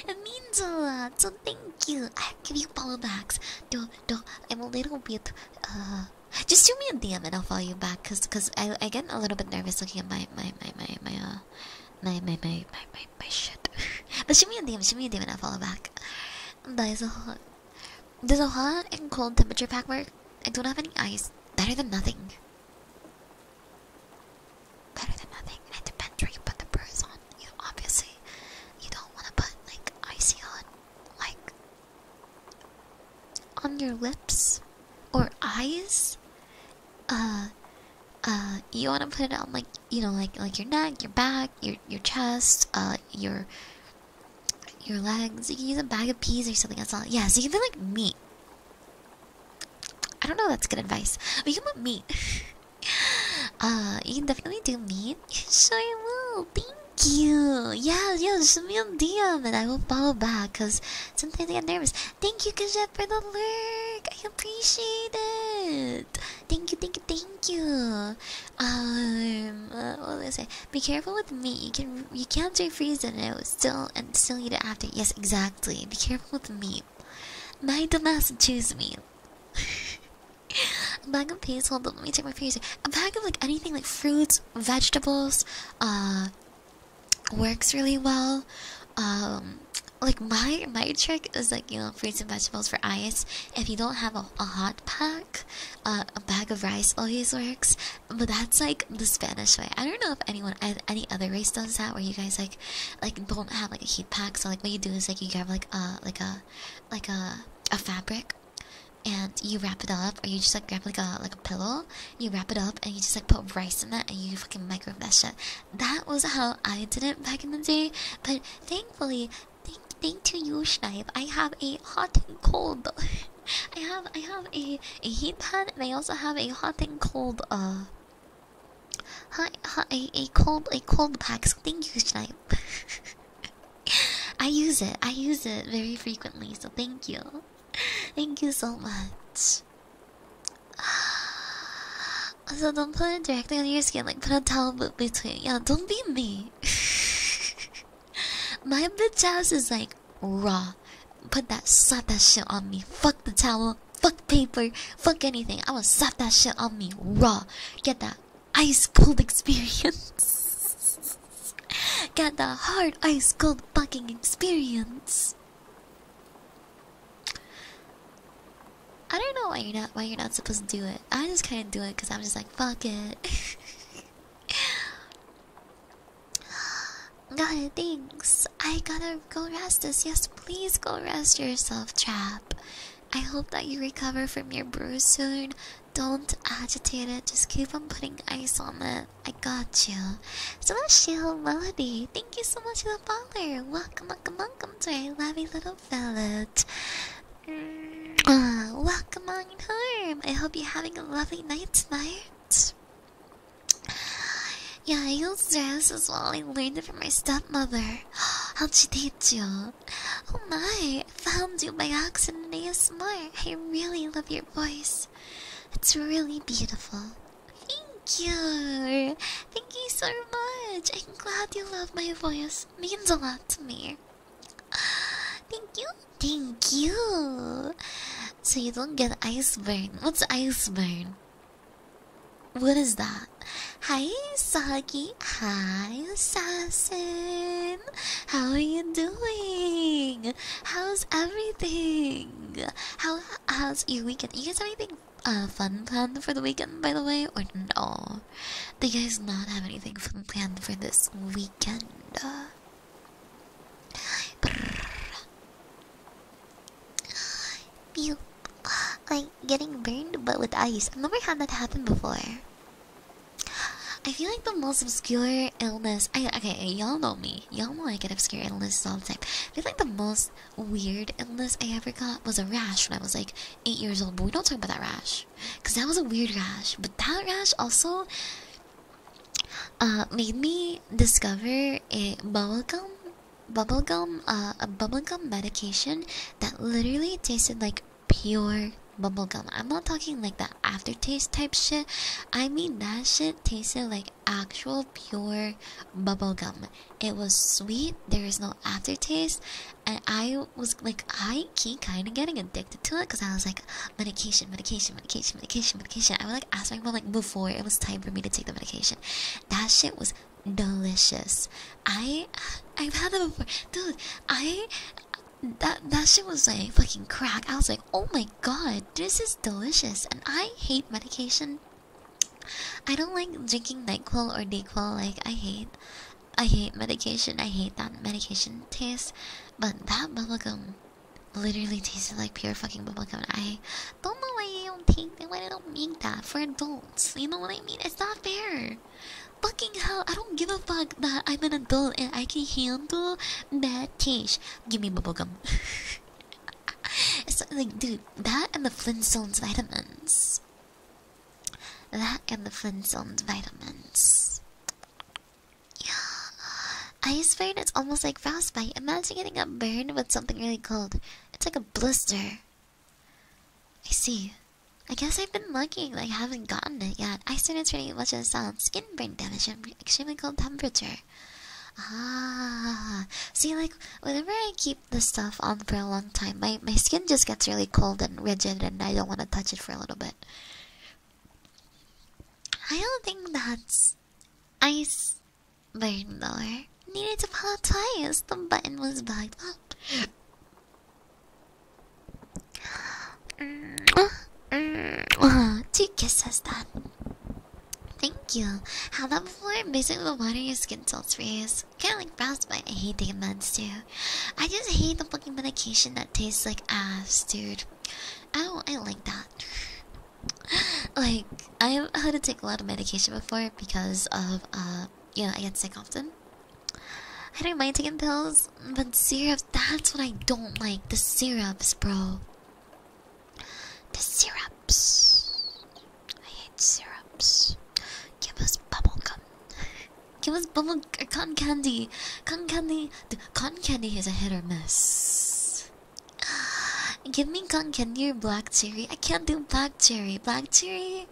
it means a lot. So thank you. I give you follow backs. Do do. I'm a little bit. Uh, just shoot me a DM and I'll follow you back. Cause cause I I get a little bit nervous looking at my my my my my uh my my my my my, my shit. but shoot me a DM. Shoot me a DM and i follow back. That is a hot. Does a hot and cold temperature pack work? I don't have any ice. Better than nothing. Better than nothing, it depends where you put the bruise on. You obviously you don't want to put like icy on, like on your lips or eyes. Uh, uh, you want to put it on like you know, like like your neck, your back, your your chest, uh, your your legs. You can use a bag of peas or something. That's all. Yeah, so you can feel like meat. I don't know. That's good advice. But you can put meat. uh, you can definitely do meat. sure you will. Thank you. Yeah, yeah. Send me a DM and I will follow back. Cause sometimes I get nervous. Thank you, Kajet, for the lurk. I appreciate it. Thank you, thank you, thank you. Um, uh, what was I say? Be careful with me. You can you can't stay frozen. It still and still eat it after. Yes, exactly. Be careful with the meat. My dumbass choose me. a bag of peas. Hold on. Let me take my freezer. A bag of like anything like fruits, vegetables. Uh, works really well. Um, like my my trick is like you know fruits and vegetables for eyes. If you don't have a, hot pack, uh, a bag of rice always works. But that's like the Spanish way. I don't know if anyone any other race does that where you guys like like don't have like a heat pack. So like what you do is like you grab like a like a like a a fabric and you wrap it up or you just like grab like a like a pillow, you wrap it up and you just like put rice in that and you fucking microwave that shit. That was how I did it back in the day. But thankfully thank thank to you Schneib, I have a hot and cold I have I have a, a heat pad and I also have a hot thing called uh, a, a cold a cold pack. thank you, Snipe. I use it. I use it very frequently. So thank you. Thank you so much. So don't put it directly on your skin. Like put a towel between. Yeah, don't be me. My bitch house is like raw. Put that, suck that shit on me. Fuck the towel, fuck paper, fuck anything. I am going to suck that shit on me raw. Get that ice cold experience. Get that hard ice cold fucking experience. I don't know why you're not why you're not supposed to do it. I just kind of do it because I'm just like fuck it. God, thanks. I gotta go rest us. Yes, please go rest yourself, trap. I hope that you recover from your bruise soon. Don't agitate it. Just keep on putting ice on it. I got you. So much, Sheila Melody. Thank you so much for the follower. Welcome, welcome, welcome to our lovely little village. Mm, uh, welcome home. I hope you're having a lovely night tonight. Yeah, I used dress is well. I learned it from my stepmother. how did she teach you? Oh my, found you by accident You're smart. I really love your voice. It's really beautiful. Thank you. Thank you so much. I'm glad you love my voice. means a lot to me. Thank you. Thank you so you don't get ice burn. What's ice burn? What is that? Hi, Saki. Hi, Assassin. How are you doing? How's everything? How how's your weekend? You guys have anything uh, fun planned for the weekend, by the way, or no? Do you guys not have anything fun planned for this weekend? You like getting burned but with ice. I've never had that happen before. I feel like the most obscure illness I okay, y'all know me. Y'all know I get obscure illnesses all the time. I feel like the most weird illness I ever got was a rash when I was like eight years old, but we don't talk about that rash. Cause that was a weird rash. But that rash also uh, made me discover a gum, bubblegum uh, a bubblegum medication that literally tasted like pure bubblegum. I'm not talking like the aftertaste type shit. I mean that shit tasted like actual pure bubblegum. It was sweet, there is no aftertaste, and I was like I keep kinda getting addicted to it because I was like medication, medication, medication medication, medication, I would like ask my mom like before it was time for me to take the medication. That shit was delicious. I I've had that before, dude. I that that shit was like fucking crack. I was like, oh my god, this is delicious. And I hate medication. I don't like drinking Nyquil or Dayquil. Like I hate, I hate medication. I hate that medication taste. But that bubblegum Literally tasted like pure fucking bubblegum. I don't know why they don't take why they don't make that for adults. You know what I mean? It's not fair. Fucking hell, I don't give a fuck that I'm an adult and I can handle bad taste. Give me bubblegum. it's like, dude, that and the Flintstones vitamins. That and the Flintstones vitamins. Yeah. I Iceburn it's almost like frostbite. Imagine getting a burn with something really cold. It's like a blister. I see. I guess I've been lucky that I haven't gotten it yet. I Iceburn is pretty much a solid skin burn damage at extremely cold temperature. Ah, see, like whenever I keep the stuff on for a long time, my my skin just gets really cold and rigid, and I don't want to touch it for a little bit. I don't think that's ice but no, Needed to pop twice. The button was bugged up. Two kisses then. Thank you. How that before? Basically, the water your skin tilts for years. Kind of like frostbite. I hate the meds too. I just hate the fucking medication that tastes like ass, dude. Oh, I like that like I've had to take a lot of medication before because of uh you know I get sick often. I don't mind taking pills, but syrups that's what I don't like. The syrups, bro. The syrups. I hate syrups. Give us bubble gum. Give us bubble or uh, cotton candy. Cotton candy the cotton candy is a hit or miss. Give me gun candy or black cherry. I can't do black cherry. Black cherry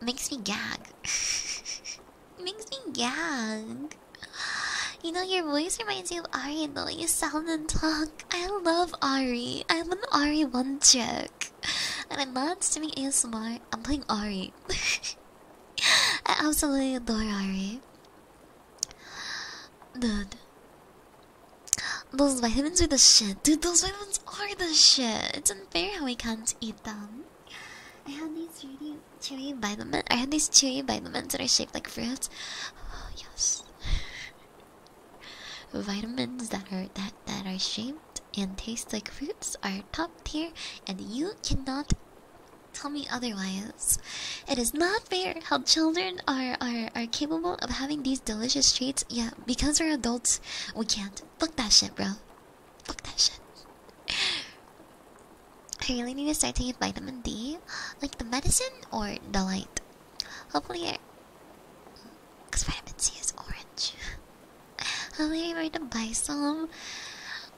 makes me gag. makes me gag. You know, your voice reminds me of Ari, the way You sound and talk. I love Ari. I'm an Ari one check. And I love streaming ASMR. I'm playing Ari. I absolutely adore Ari. Dude. Those vitamins are the shit. Dude, those vitamins are the shit. It's unfair how we can't eat them. I had these really chewy vitamins. I had these chewy vitamins that are shaped like fruits. Oh, yes. vitamins that are that that are shaped and taste like fruits are top tier and you cannot tell me otherwise. It is not fair how children are are are capable of having these delicious treats. Yeah, because we're adults, we can't. Fuck that shit, bro. Fuck that shit. I really need to start taking vitamin D, like the medicine or the light. Hopefully, I... cause vitamin C is orange. Hopefully, I'm ready to buy some.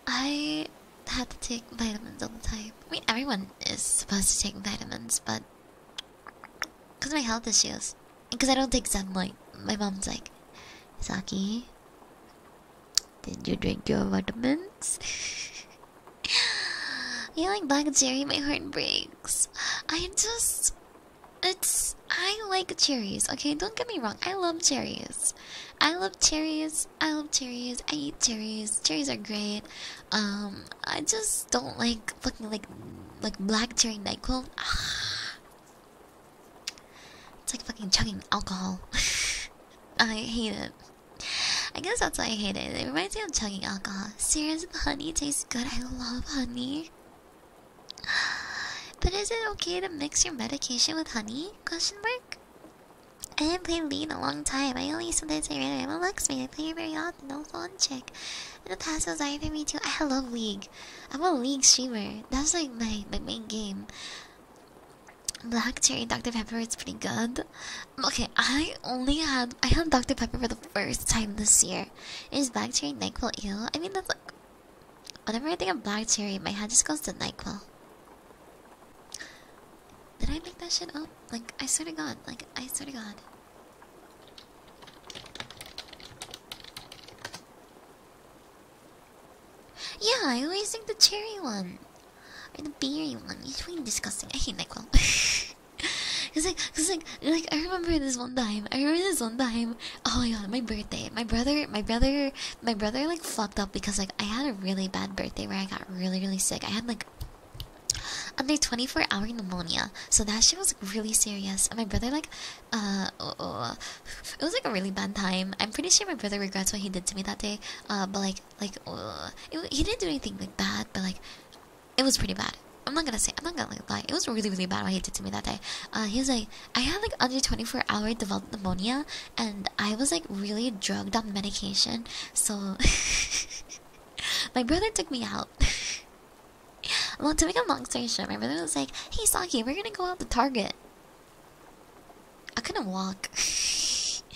I have to take vitamins all the time. I mean, everyone is supposed to take vitamins, but because my health issues, because I don't take Like my mom's like, Saki, did you drink your vitamins? You like Black Cherry, my heart breaks. I just. It's. I like cherries, okay? Don't get me wrong. I love cherries. I love cherries I love cherries. I eat cherries. Cherries are great. Um, I just don't like fucking like like black cherry Nyquil. Ah. It's like fucking chugging alcohol. I hate it. I guess that's why I hate it. It reminds me of chugging alcohol. Serious honey tastes good. I love honey. But is it okay to mix your medication with honey? Question mark. I haven't played League in a long time. I only sometimes I ran. I'm a Lux Luxmate. I play it very often. No fun check. In the past, was I for me too. I love League. I'm a League streamer. That's like my my main game. Black Cherry Dr Pepper is pretty good. Okay, I only had I had Dr Pepper for the first time this year. It's Black Cherry Nightfall. I mean that's like whenever I think of Black Cherry, my head just goes to Nightfall. Did I make that shit up? Like, I swear to God. Like, I swear to God. Yeah, I always think the cherry one. Or the berry one. It's really disgusting. I hate NyQuil. cause like, cause like, like I remember this one time. I remember this one time. Oh my god, my birthday. My brother, my brother, my brother like fucked up because like I had a really bad birthday where I got really, really sick. I had like under 24 hour pneumonia. So that shit was really serious. And my brother like uh, oh, oh, uh it was like a really bad time. I'm pretty sure my brother regrets what he did to me that day. Uh but like like uh, he didn't do anything like bad, but like it was pretty bad. I'm not gonna say I'm not gonna lie. It was really really bad what he did to me that day. Uh, he was like I had like under 24 hour developed pneumonia, and I was like really drugged on medication, so my brother took me out. well, to make a long story short, my brother was like, "Hey, Saki, we're gonna go out to Target." I couldn't walk, so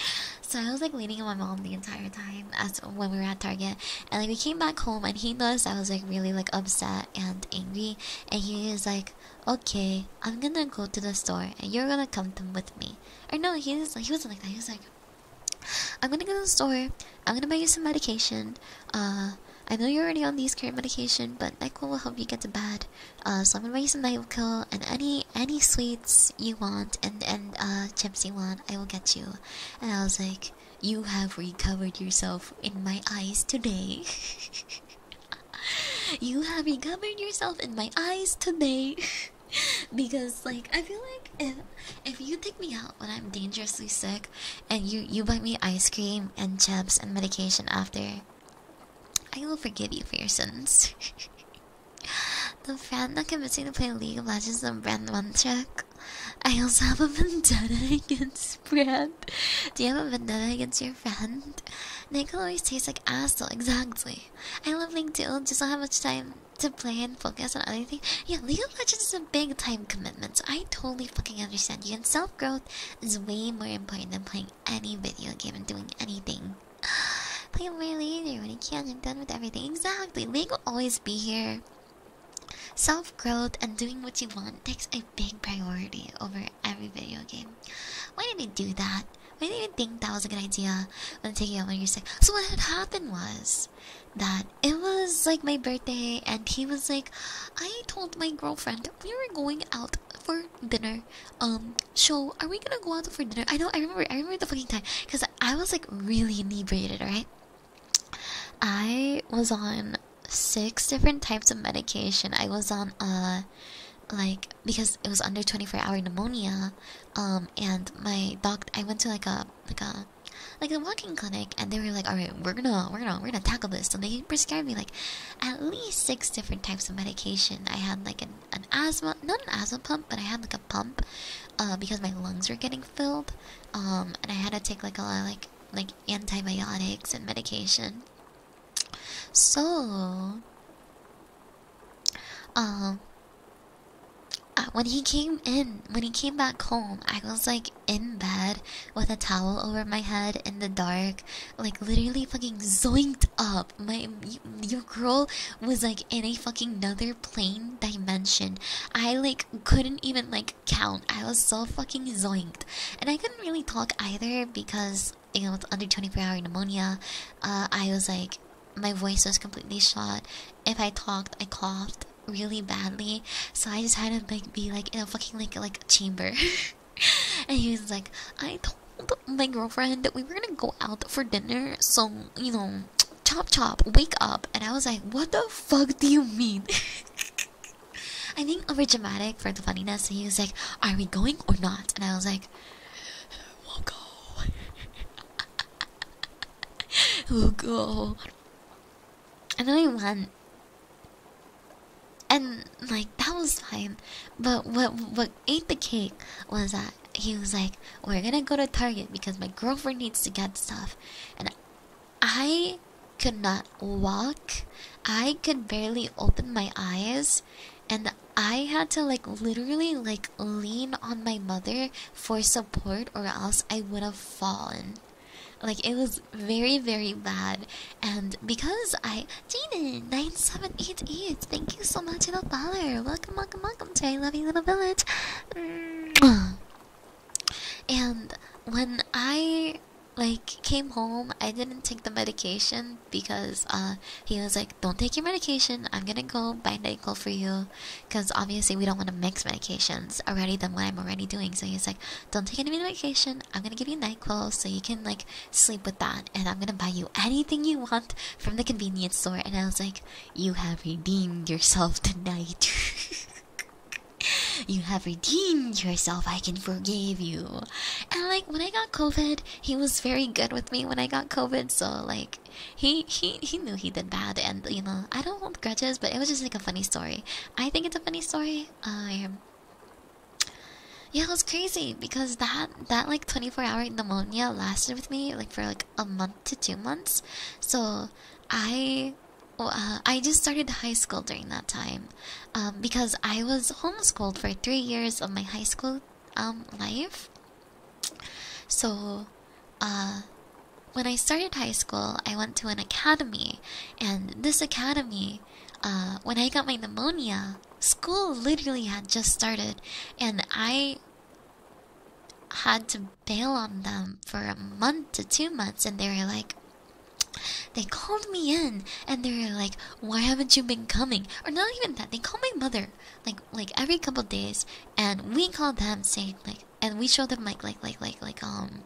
I was like leaning on my mom the entire time when we were at Target, and like we came back home, and he noticed I was like really like upset and angry, and he was like, "Okay, I'm gonna go to the store, and you're gonna come with me." Or no, he was he wasn't like that. He was like, I'm gonna go to the store. I'm gonna buy you some medication. Uh, I know you're already on these current medication, but NyQuil will help you get to bed. Uh, so I'm gonna buy you some NyQuil and any any sweets you want and and uh chips you want, I will get you. And I was like, you have recovered yourself in my eyes today. you have recovered yourself in my eyes today. because like I feel like if if you take me out when I'm dangerously sick and you you buy me ice cream and chips and medication after, I will forgive you for your sins. the friend not convinced me to play League of Legends and Brand one check. I also have a vendetta against Brand. Do you have a vendetta against your friend? Nickel always tastes like asshole, exactly. I love Link too, just not have much time to play and focus on other things. Yeah, League of Legends is a big time commitment, so I totally fucking understand you. And self growth is way more important than playing any video game and doing anything. Play more later when you can. and are done with everything. Exactly. League will always be here. Self growth and doing what you want takes a big priority over every video game. Why did we do that? I didn't even think that was a good idea when taking out my year six. So what had happened was that it was like my birthday, and he was like, I told my girlfriend we were going out for dinner. Um, so are we gonna go out for dinner? I know, I remember, I remember the fucking time because I was like really inebriated, right? I was on six different types of medication. I was on uh like because it was under 24 hour pneumonia um and my doc i went to like a like a like a walking clinic and they were like all right we're gonna we're gonna we're gonna tackle this so they prescribed me like at least six different types of medication i had like an, an asthma not an asthma pump but i had like a pump uh because my lungs were getting filled um and i had to take like a lot of like like antibiotics and medication so um uh, when he came in, when he came back home, I was like in bed with a towel over my head in the dark, like literally fucking zoinked up. My your girl was like in a fucking another plane dimension. I like couldn't even like count. I was so fucking zoinked, and I couldn't really talk either because you know with under twenty four hour pneumonia. Uh, I was like my voice was completely shot. If I talked, I coughed really badly. So I just had to like be like in a fucking like like chamber. and he was like, I told my girlfriend that we were gonna go out for dinner. So you know, chop chop, wake up. And I was like, what the fuck do you mean? I think over dramatic for the funniness. he was like, are we going or not? And I was like, we'll go. Oh god! And I went, and like that was fine. But what what ate the cake was that he was like, "We're gonna go to Target because my girlfriend needs to get stuff," and I could not walk. I could barely open my eyes, and I had to like literally like lean on my mother for support or else I would have fallen. Like it was very very bad and because I Jaden 9788 thank you so much for the dollar welcome welcome welcome to I love little village and when I like came home I didn't take the medication because uh he was like don't take your medication I'm gonna go buy an ankle for you because obviously we don't want to mix medications already than what I'm already doing. So he's like, "Don't take any medication. I'm gonna give you Nyquil so you can like sleep with that, and I'm gonna buy you anything you want from the convenience store." And I was like, "You have redeemed yourself tonight." You have redeemed yourself. I can forgive you. And like when I got COVID, he was very good with me when I got COVID. So like he he he knew he did bad, and you know I don't hold grudges, but it was just like a funny story. I think it's a funny story. Uh, yeah, it was crazy because that that like twenty four hour pneumonia lasted with me like for like a month to two months. So I. Uh, I just started high school during that time um, because I was homeschooled for three years of my high school um, life. So, uh, when I started high school, I went to an academy, and this academy, uh, when I got my pneumonia, school literally had just started, and I had to bail on them for a month to two months, and they were like, they called me in and they were like, Why haven't you been coming? Or not even that, they called my mother like like every couple days and we called them saying like and we show them like like like like like um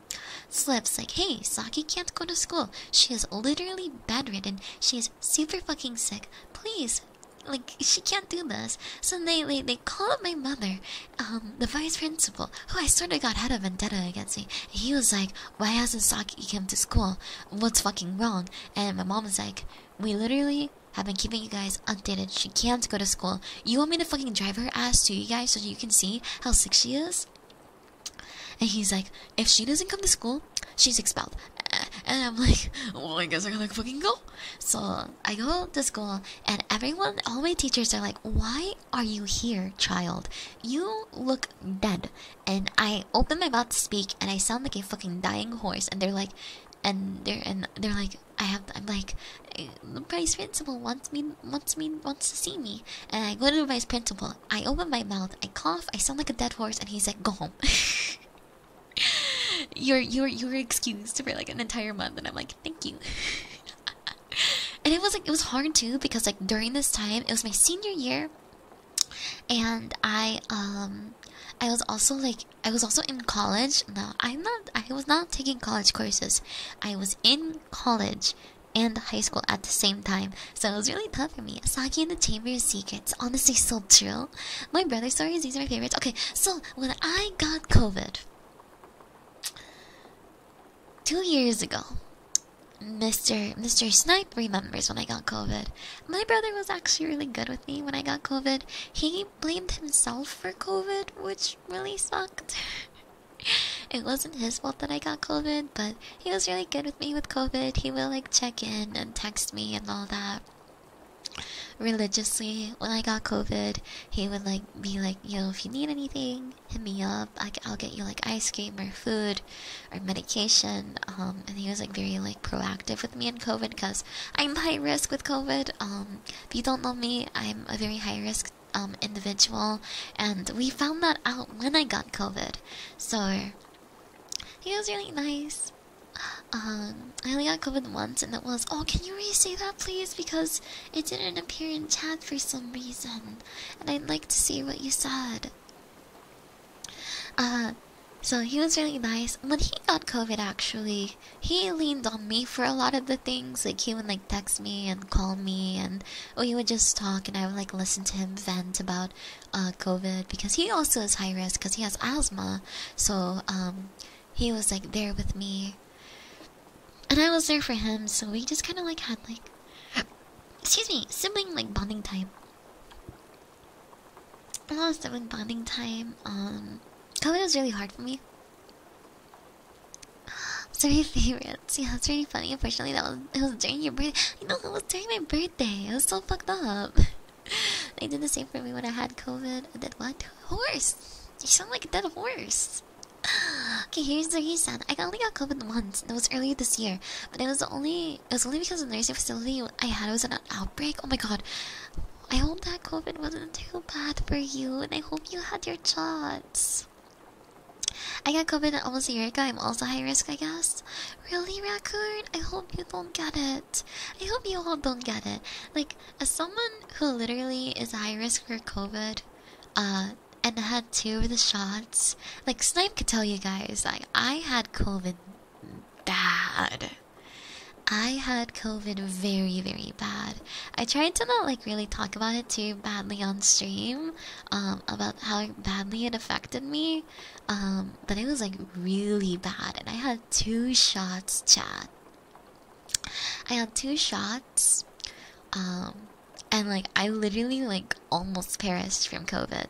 slips like hey Saki can't go to school. She is literally bedridden. She is super fucking sick. Please like she can't do this. So they they, they call up my mother, um, the vice principal, who I sort of got had a vendetta against me. And he was like, Why hasn't Saki come to school? What's fucking wrong? And my mom was like, We literally have been keeping you guys updated. She can't go to school. You want me to fucking drive her ass to you guys so you can see how sick she is? And he's like, if she doesn't come to school, she's expelled. And I'm like, well, I guess I gotta fucking go. So I go to school, and everyone, all my teachers are like, why are you here, child? You look dead. And I open my mouth to speak, and I sound like a fucking dying horse. And they're like, and they're and they're like, I have I'm like uh, the vice principal wants me wants me wants to see me and I go to the vice principal. I open my mouth, I cough, I sound like a dead horse and he's like go home. you're you're you're excused for like an entire month and I'm like thank you. and it was like it was hard too because like during this time it was my senior year and I um I was also like I was also in college. No, I'm not. I was not taking college courses. I was in college and high school at the same time, so it was really tough for me. Saki and the Chamber of Secrets, honestly, so true. My brother's stories, these are my favorites. Okay, so when I got COVID two years ago, Mr. Mr. Snipe remembers when I got COVID. My brother was actually really good with me when I got COVID. He blamed himself for COVID, which really sucked. it wasn't his fault that I got COVID, but he was really good with me with COVID. He would like check in and text me and all that. Religiously, when I got COVID, he would like be like, "You know, if you need anything, hit me up. I I'll get you like ice cream or food or medication. Um, and he was like very like proactive with me and COVID because I'm high risk with COVID. Um, if you don't know me, I'm a very high risk um, individual, and we found that out when I got COVID. So he was really nice. Um, I only got COVID once, and it was oh, can you re-say that please? Because it didn't appear in chat for some reason, and I'd like to see what you said. Uh, so he was really nice. When he got COVID, actually, he leaned on me for a lot of the things. Like he would like text me and call me, and we would just talk, and I would like listen to him vent about uh, COVID because he also is high risk because he has asthma. So um, he was like there with me, and I was there for him. So we just kind of like had like excuse me sibling like bonding time. A lot of sibling bonding time. Um, COVID was really hard for me. It's Three favorites. Yeah, it's really funny. Unfortunately, that was it was during your birthday. You know, it was during my birthday. I was so fucked up. they did the same for me when I had COVID. I did what? Horse. You sound like a dead horse. Okay, here's the reason. I only got COVID once. It was early this year, but it was only it was only because the nursing facility I had it was an outbreak. Oh my god, I hope that COVID wasn't too bad for you, and I hope you had your shots. I got COVID almost a year ago. I'm also high risk, I guess. Really, Raccoon? I hope you don't get it. I hope you all don't get it. Like, as someone who literally is high risk for COVID, uh, and had two of the shots, like, Snipe could tell you guys, like, I had COVID bad. I had COVID very, very bad. I tried to not like really talk about it too badly on stream, um, about how badly it affected me. Um, but it was like really bad, and I had two shots, chat. I had two shots, um, and like I literally like almost perished from COVID,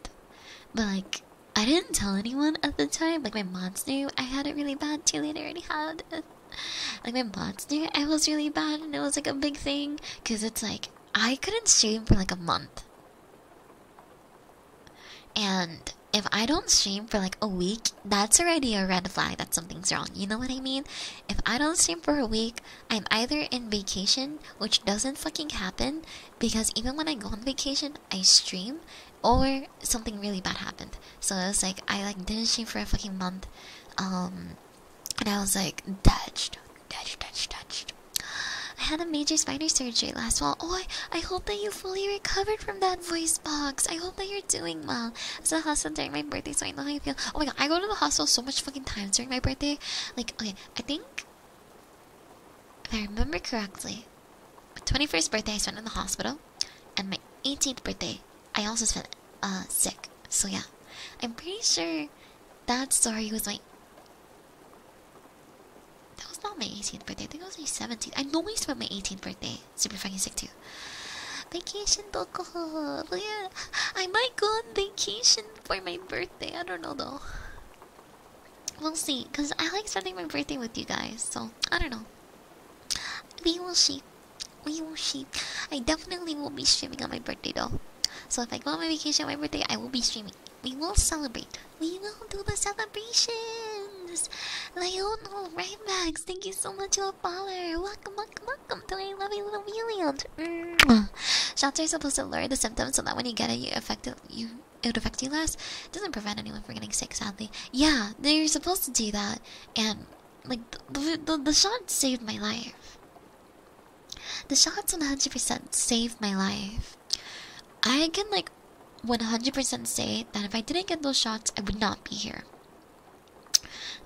but like. I didn't tell anyone at the time. Like my moms knew I had it really bad too. They already had a like my monster, it was really bad, and it was like a big thing because it's like I couldn't stream for like a month, and if I don't stream for like a week, that's already a red flag that something's wrong. You know what I mean? If I don't stream for a week, I'm either in vacation, which doesn't fucking happen because even when I go on vacation, I stream, or something really bad happened. So it was like I like didn't stream for a fucking month. Um, and I was like, touched, touched, touched, touched. I had a major spinal surgery last fall. Oh, I, I hope that you fully recovered from that voice box. I hope that you're doing well. I was at the hospital during my birthday, so I know how you feel. Oh my god, I go to the hospital so much fucking times during my birthday. Like, okay, I think, if I remember correctly, my 21st birthday I spent in the hospital, and my 18th birthday I also spent uh, sick. So yeah, I'm pretty sure that story was like that was not my 18th birthday. I think it was my 17th. I know I spent my 18th birthday super fucking sick too. Vacation alcohol. Yeah, I might go on vacation for my birthday. I don't know though. We'll see, cause I like spending my birthday with you guys. So I don't know. We will see. We will Yoshi. I definitely will be streaming on my birthday doll. So if I go on my vacation on my birthday, I will be streaming. We will celebrate. We will do the celebrations. Lionel, right back. Thank you so much for a follower. Welcome, welcome, welcome to my lovely little Williams. Shots are supposed to lower the symptoms so that when you get it, you affect it, you it would affect you less. It doesn't prevent anyone from getting sick, sadly. Yeah, they're supposed to do that. And like the the, the shot saved my life. The shots 100% saved my life. I can like 100% say that if I didn't get those shots, I would not be here.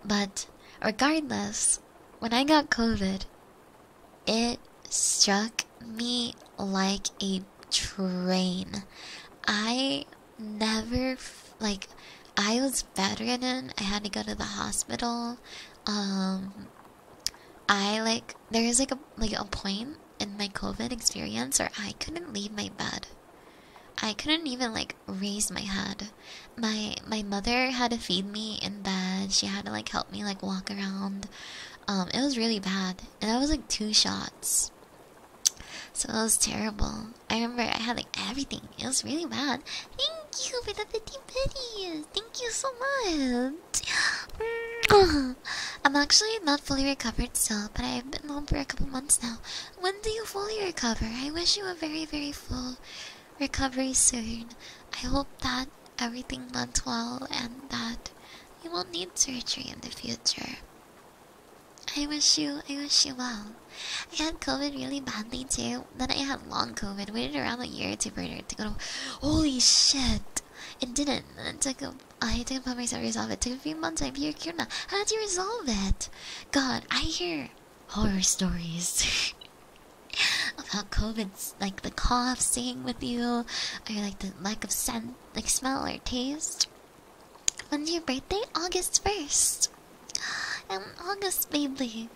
But regardless, when I got COVID, it struck me like a train. I never like I was bedridden. I had to go to the hospital. Um, I like there is like a like a point in my COVID experience where I couldn't leave my bed. I couldn't even like raise my head. My my mother had to feed me in bed. She had to like help me like walk around. Um, it was really bad, and that was like two shots. So it was terrible. I remember I had like everything. It was really bad. Thank you for the 50 pennies. Thank you so much. I'm actually not fully recovered still, but I've been home for a couple months now. When do you fully recover? I wish you a very, very full recovery soon. I hope that everything went well and that you won't need surgery in the future. I wish you, I wish you well. I had COVID really badly too. Then I had long COVID. Waited around a year to burn it to go Holy shit! It didn't. I took a. I didn't put myself resolve it. Took a few months. I'm here, Kirna. How did you resolve it? God, I hear horror stories about COVID. COVID's like the cough staying with you, or like the lack of scent, like smell or taste. When's your birthday? August first. I'm August baby.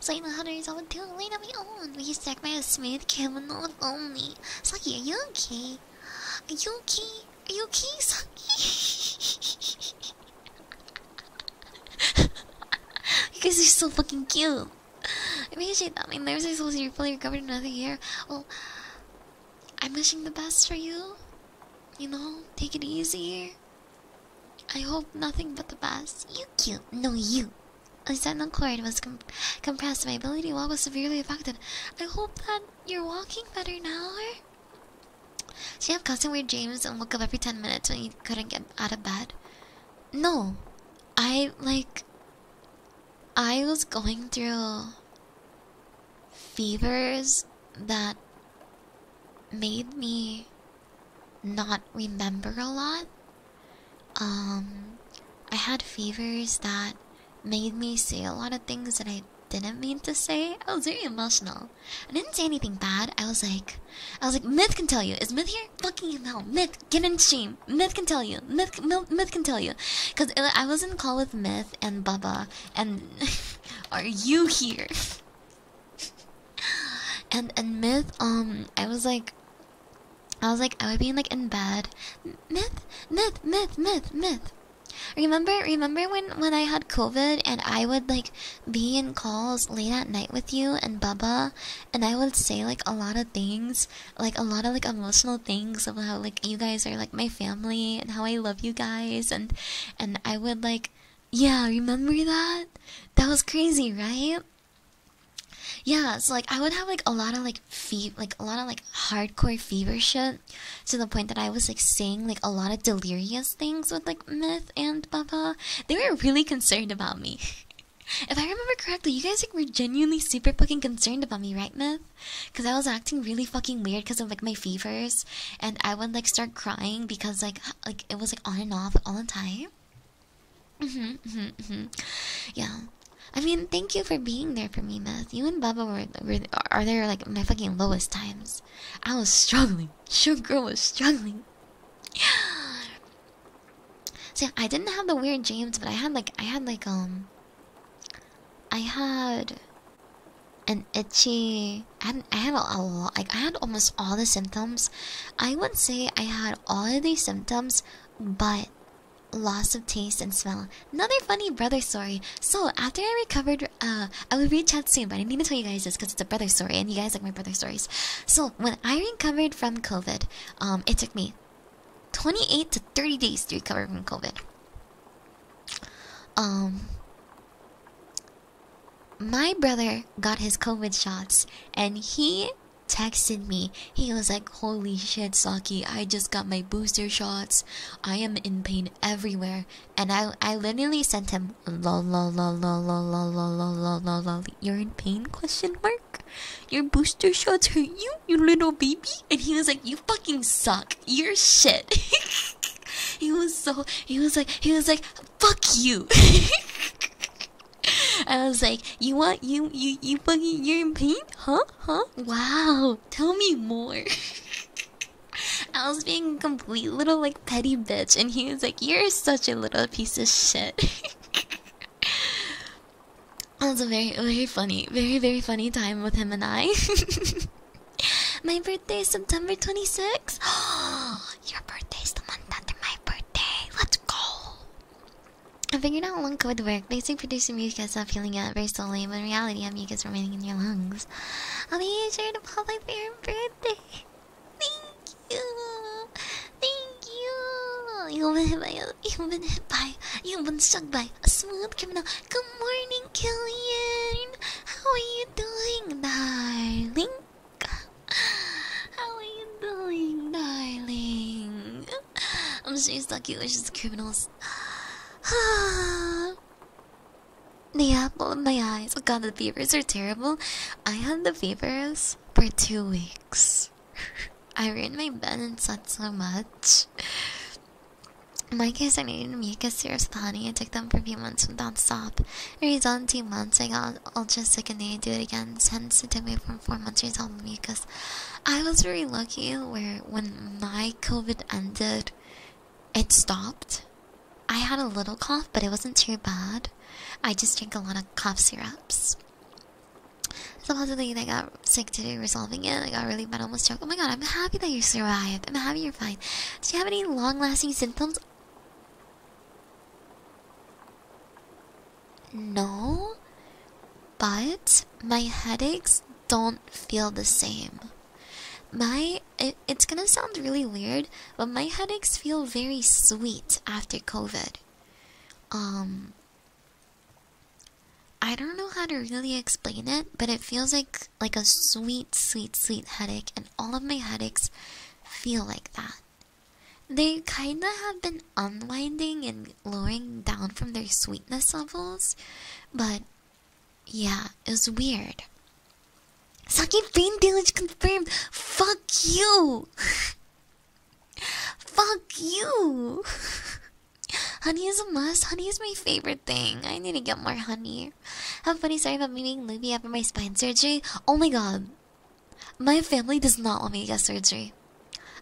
So the hunters all too late on my own. We stuck by a smooth criminal only. Saki, are you okay? Are you okay? Are you okay, Saki? you guys are so fucking cute. I appreciate that. My nerves are supposed to be fully recovered in another year. Well, I'm wishing the best for you. You know, take it easy. I hope nothing but the best. You cute. No, you. I said, sentinel cord was compressed. My ability to was severely affected. I hope that you're walking better now. So you have constant weird dreams and woke up every 10 minutes when you couldn't get out of bed. No. I, like... I was going through fevers that made me not remember a lot. Um, I had fevers that made me say a lot of things that I didn't mean to say. I was very emotional. I didn't say anything bad. I was like, I was like, Myth can tell you. Is Myth here? Fucking no. Myth, get in shame. Myth can tell you. Myth, Myth, Myth can tell you. Cause I was in call with Myth and Bubba, and are you here? and and myth, um, I was like, I was like, I would be like in bed. Myth, myth, myth, myth, myth. Remember, remember when when I had COVID and I would like be in calls late at night with you and Bubba, and I would say like a lot of things, like a lot of like emotional things of how like you guys are like my family and how I love you guys, and and I would like yeah, remember that? That was crazy, right? Yeah, so like I would have like a lot of like fever, like a lot of like hardcore fever shit to the point that I was like saying like a lot of delirious things with like Myth and Baba. They were really concerned about me. if I remember correctly, you guys like were genuinely super fucking concerned about me, right, Myth? Because I was acting really fucking weird because of like my fevers, and I would like start crying because like like it was like on and off all the time. Mm-hmm, mm-hmm, mm-hmm. Yeah, I mean, thank you for being there for me, Meth. You and Baba were, were are there like my fucking lowest times. I was struggling. Your girl was struggling. so I didn't have the weird dreams, but I had like I had like um. I had and itchy. I had, I had a, lot. Like I had almost all the symptoms. I would say I had all of these symptoms, but loss of taste and smell. Another funny brother story. So after I recovered, uh, I would read chat soon, but I need to tell you guys this because it's a brother story, and you guys like my brother stories. So when I recovered from COVID, um, it took me 28 to 30 days to recover from COVID. Um, my brother got his COVID shots and he texted me. He was like, Holy shit, Saki, I just got my booster shots. I am in pain everywhere. And I I literally sent him lol lol lol lol lol lol lol lol lol lol You're in pain question mark? Your booster shots hurt you, you little baby? And he was like, You fucking suck. You're shit he was so he was like he was like fuck you I was like, you want you you you fucking you're in pain? Huh? Huh? Wow. Tell me more. I was being a complete little like petty bitch and he was like, You're such a little piece of shit. It was a very very funny, very very funny time with him and I. My birthday is September 26th. Your birthday is the month after my birthday. Let's go. I figured out one code work. Basically, producing mucus and stop feeling it very slowly, but in reality, I have mucus remaining in your lungs. I'll be here to pop by for your birthday. Thank you. Thank you. You've been hit by you've been hit by you've been struck by a smooth criminal. Good morning, Killian. How are you doing, darling? How are you doing, darling? I'm sure it's lucky these criminals. the apple in my eyes. Oh god, the fevers are terrible. I had the fevers for two weeks. I ran my bed and slept so much. In my case, I needed to make a syrup with honey. I took them for a few months without stop redone two months. I got ultra sick and then I do it again. Since it took me from four months to resolve the because I was really lucky where when my COVID ended, it stopped. I had a little cough, but it wasn't too bad. I just drank a lot of cough syrups. Supposedly, I got sick today resolving it. I got really bad, almost choked. Oh my god, I'm happy that you survived. I'm happy you're fine. Do you have any long lasting symptoms? No, but my headaches don't feel the same. My it's gonna sound really weird, but my headaches feel very sweet after COVID. Um, I don't know how to really explain it, but it feels like like a sweet, sweet, sweet headache, and all of my headaches feel like that. They kinda have been unwinding and lowering down from their sweetness levels, but yeah, it was weird. Saki brain damage confirmed! Fuck you! Fuck you! honey is a must. Honey is my favorite thing. I need to get more honey here. Have funny Sorry about me meeting Luby after my spine surgery. Oh my god. My family does not want me to get surgery.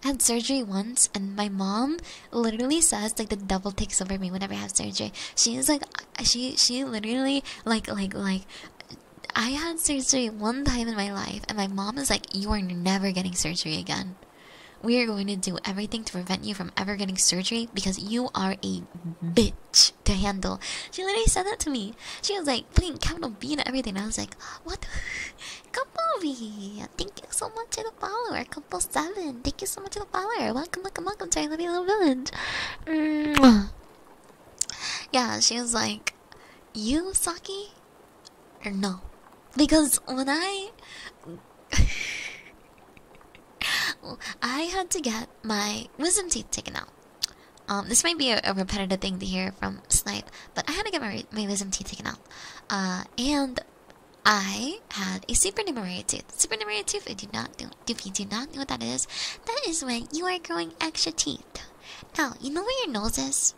I had surgery once, and my mom literally says like the devil takes over me whenever I have surgery. She is like, she she literally like like like. I had surgery one time in my life, and my mom is like, "You are never getting surgery again. We are going to do everything to prevent you from ever getting surgery because you are a bitch." to handle. She literally said that to me. She was like putting capital B and everything. I was like, what? Couple B, thank you so much to the follower. Couple seven, thank you so much to the follower. Welcome, welcome, welcome to our lovely little village. Mm -hmm. Yeah, she was like, you Saki, no, because when I. I had to get my wisdom teeth taken out. Um, this might be a, repetitive thing to hear from Snipe, but I had to get my, my wisdom teeth taken out. Uh, and I had a supernumerary tooth. Supernumerary tooth, if you, do not do, if you do not know what that is, that is when you are growing extra teeth. Now, you know where your nose is?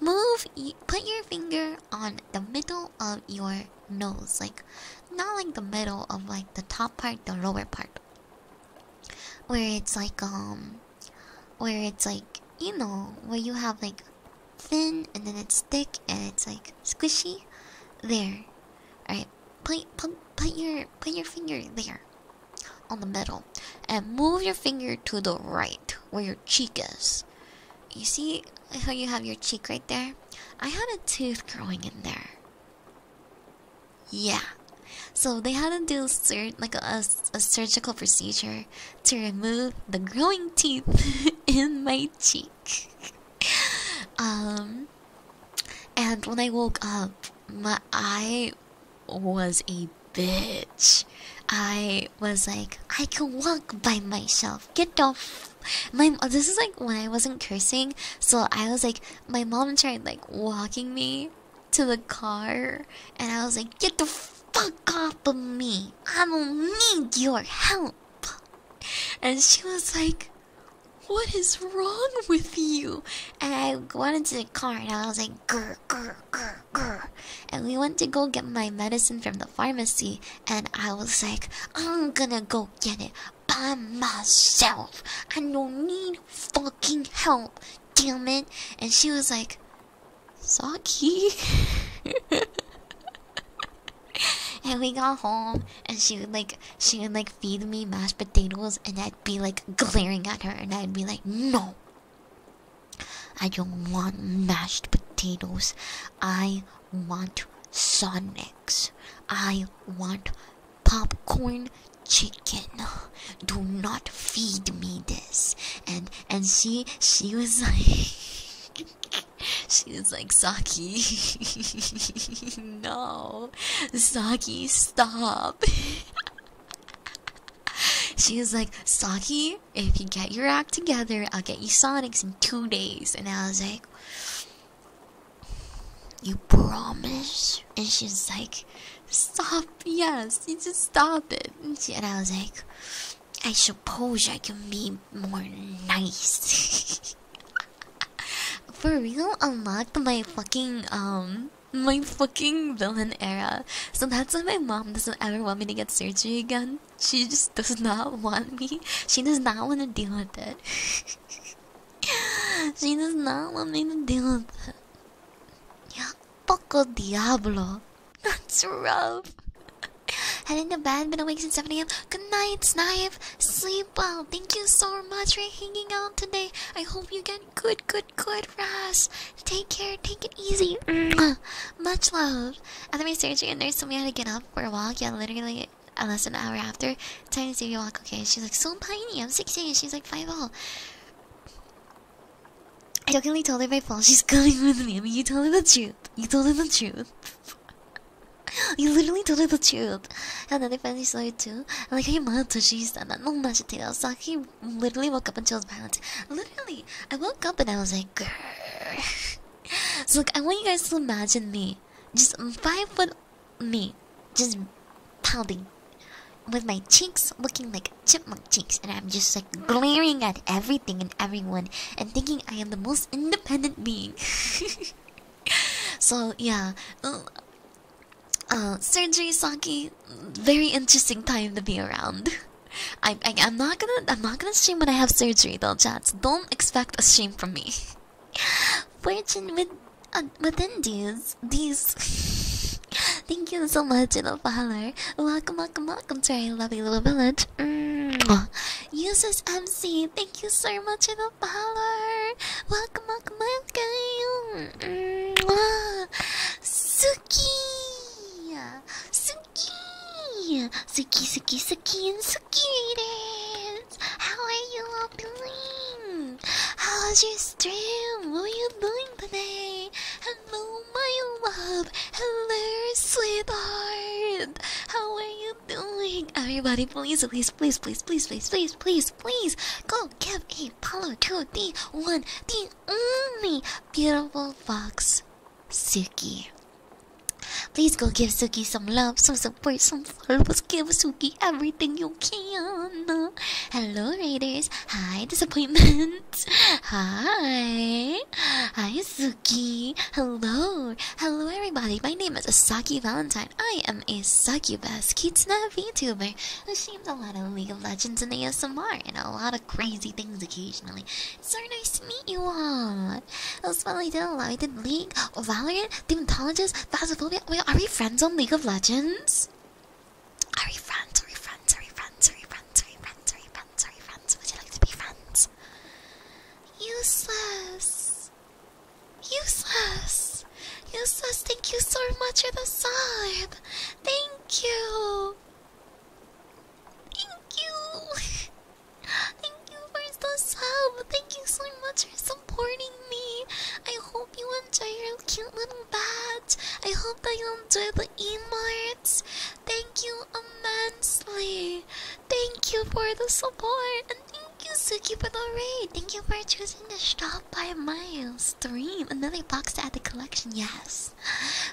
Move, put your finger on the middle of your nose. Like, not like the middle of like the top part, the lower part where it's like um where it's like you know where you have like thin and then it's thick and it's like squishy there all right put put put your put your finger there on the middle and move your finger to the right where your cheek is you see how you have your cheek right there i had a tooth growing in there yeah. So they had to do sur like a, a surgical procedure to remove the growing teeth in my cheek. um, and when I woke up, my eye was a bitch. I was like, I can walk by myself. Get off. My this is like when I wasn't cursing, so I was like, my mom tried like walking me to the car and I was like, Get the fuck off of me! I don't need your help! And she was like, What is wrong with you? And I went into the car and I was like, Grr, grr, grr, grr. And we went to go get my medicine from the pharmacy and I was like, I'm gonna go get it by myself. I don't need fucking help, damn it. And she was like, Saki. and we got home, and she would like, she would like feed me mashed potatoes, and I'd be like glaring at her, and I'd be like, no. I don't want mashed potatoes. I want Sonics. I want popcorn chicken. Do not feed me this. And and she she was like she was like Saki No Saki stop She was like, Saki, if you get your act together, I'll get you Sonics in two days. And I was like, You promise? And she's like, Stop, yes, you just stop it. And, I was like, I suppose I can be more nice. For real, unlocked my fucking, um, my fucking villain era. So that's why my mom doesn't ever want me to get surgery again. She just does not want me. She does not want to deal with that. she does not want me to deal with that. Yeah, Poco Diablo. That's rough. in the bed, been awake since 7 a.m. Good night, Snipe. Sleep well. Thank you so much for hanging out today. I hope you get good, good, good rest. Take care, take it easy. much love. After my surgery, a nurse told me how to get up for a walk. Yeah, literally uh, less than an hour after. Time to see you walk. Okay, she's like, so tiny. I'm 16. She's like, 5 all. Oh. I jokingly told her by phone she's coming with me. I mean, you told her the truth. You told her the truth. you literally told her the truth. And then I finally saw her too. And like, hey, mom, she's done that. No, I was So he literally woke up and chose was violent. Literally, I woke up and I was like, grrr. I want you guys to imagine me. Just five foot me just pounding with my cheeks looking like chipmunk cheeks and i'm just like glaring at everything and everyone and thinking i am the most independent being so yeah uh, uh surgery saki very interesting time to be around I, i'm not gonna i'm not gonna stream when i have surgery though chats don't expect a stream from me fortune with uh, within these, these. Thank you so much, little follower. Welcome, welcome, welcome to our lovely little village. Mm. Users MC, thank you so much, little follower. Welcome, welcome, welcome. Mm. Suki, Suki, Suki, Suki, Suki, and Suki readers. How are you all doing? How was your stream? Were you doing today? Hello, my love. Hello, sweetheart. How are you doing? Everybody, please, please, please, please, please, please, please, please, please, go give a follow to the one, the only beautiful fox, Suki. Please go give Suki some love, some support, some follows. Give Suki everything you can hello. Raiders. Hi, Disappointment. Hi. Hi, Suki. Hello. Hello, everybody. My name is Asaki Valentine. I am a succubus, Kitsuna VTuber, who streams a lot of League of Legends and ASMR and a lot of crazy things occasionally. so nice to meet you all. That's what I did a lot. I did League, Valorant, Demonologist, Phasmophobia. Wait, are we friends on League of Legends? Are we friends? Are we friends? Are we friends? Are we friends? Are we friends? Are we friends? Are we friends? Would you like to be friends? Useless. Useless. Useless, thank you so much for the sub. Thank you. Thank you. thank you for the sub. Thank you so much for supporting me. I hope you enjoy your cute little badge. I hope that you enjoy the emotes. Thank you immensely. Thank you for the support. And thank you, Suki, for the raid. Thank you for choosing to stop by my stream. Another box to add the collection, yes.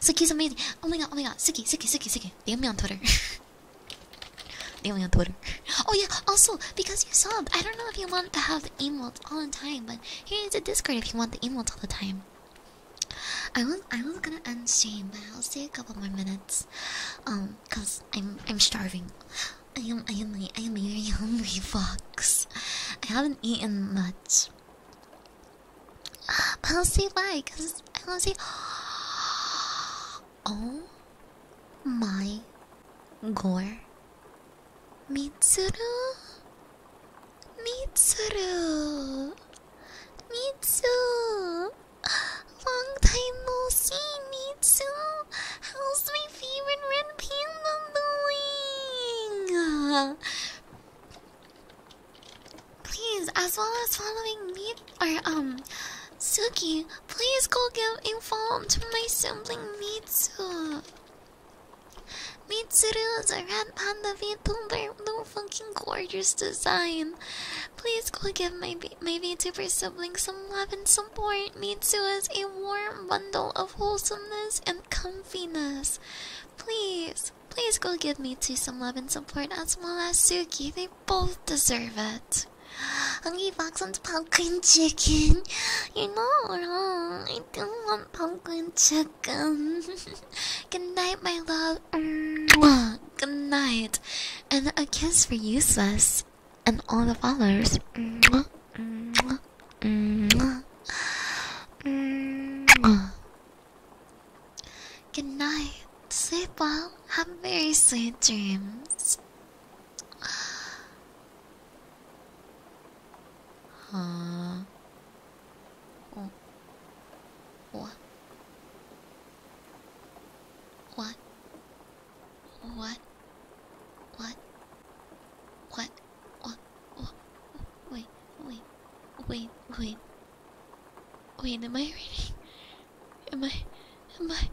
Suki's amazing. Oh my god, oh my god. Suki, Suki, Suki, Suki. DM me on Twitter. DM me on Twitter. Oh yeah, also, because you subbed, I don't know if you want to have emotes all the time, but here is a Discord if you want the emotes all the time. I was I was gonna unstream, but I'll stay a couple more minutes. Um, cause I'm I'm starving. I am I am I am a very hungry fox. I haven't eaten much. But I'll say bye, cause I wanna say Oh my gore Mitsuru Mitsuru Mitsu Long time no see Mitsu How's my favorite red panda doing? Please, as well as following me or um Suki, please go give info to my sibling Mitsu. Mitsuru is a red panda VTuber, no fucking gorgeous design. Please go give my, my VTuber sibling some love and support. Mitsuru is a warm bundle of wholesomeness and comfiness. Please, please go give Mitsu some love and support as well as Suki. They both deserve it. Hungry Fox wants pumpkin chicken. you know, I do want pumpkin chicken welcome. Good night, my love. Good night. And a kiss for you, Swiss. And all the followers. Good night. Sleep well. Have very sweet dreams. はあおわわ What? What? What? What? What? Wait, wait, wait, wait. Wait, am I reading? Am I, am I,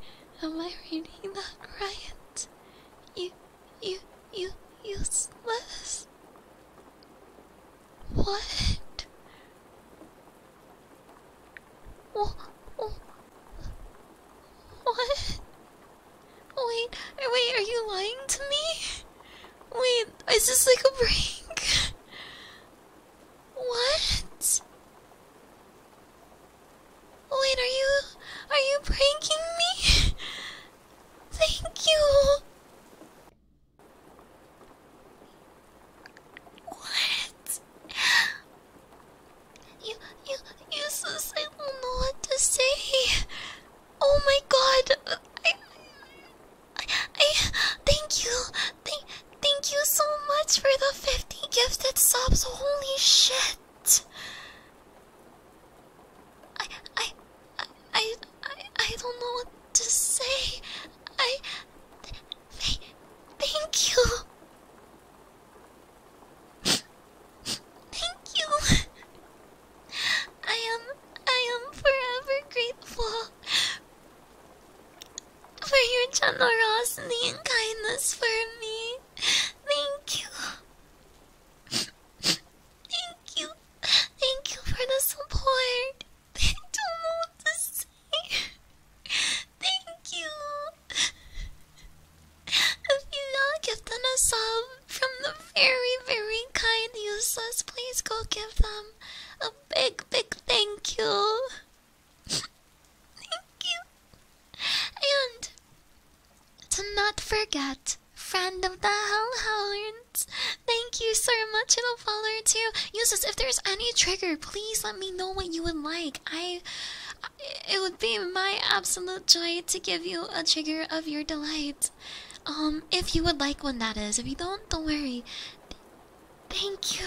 am I reading that right? You, you, you, useless. What? What? What? Wait, wait, are you lying to me? Wait, is this like a prank? What? Wait, are you, are you pranking me? Thank you. What? You, you, you, sus, I know what to say. Oh my god. I, I, thank you. Thank, thank you so much for the 50 gifted subs. Holy shit. I, I, I, I, don't know what to say. I, thank you. Thank you. I am, I am forever grateful for your generosity and kindness for me. Thank you. Thank you. Thank you for the support. I don't know what to say. Thank you. If you not give them a sub from the very, very kind useless, please go give them a big, big thank you. thank you. And to not forget, Friend of the Hellhounds, thank you so much for the follow too. Uses, if there's any trigger, please let me know what you would like. I, it would be my absolute joy to give you a trigger of your delight. Um, if you would like one, that is. If you don't, don't worry. thank you.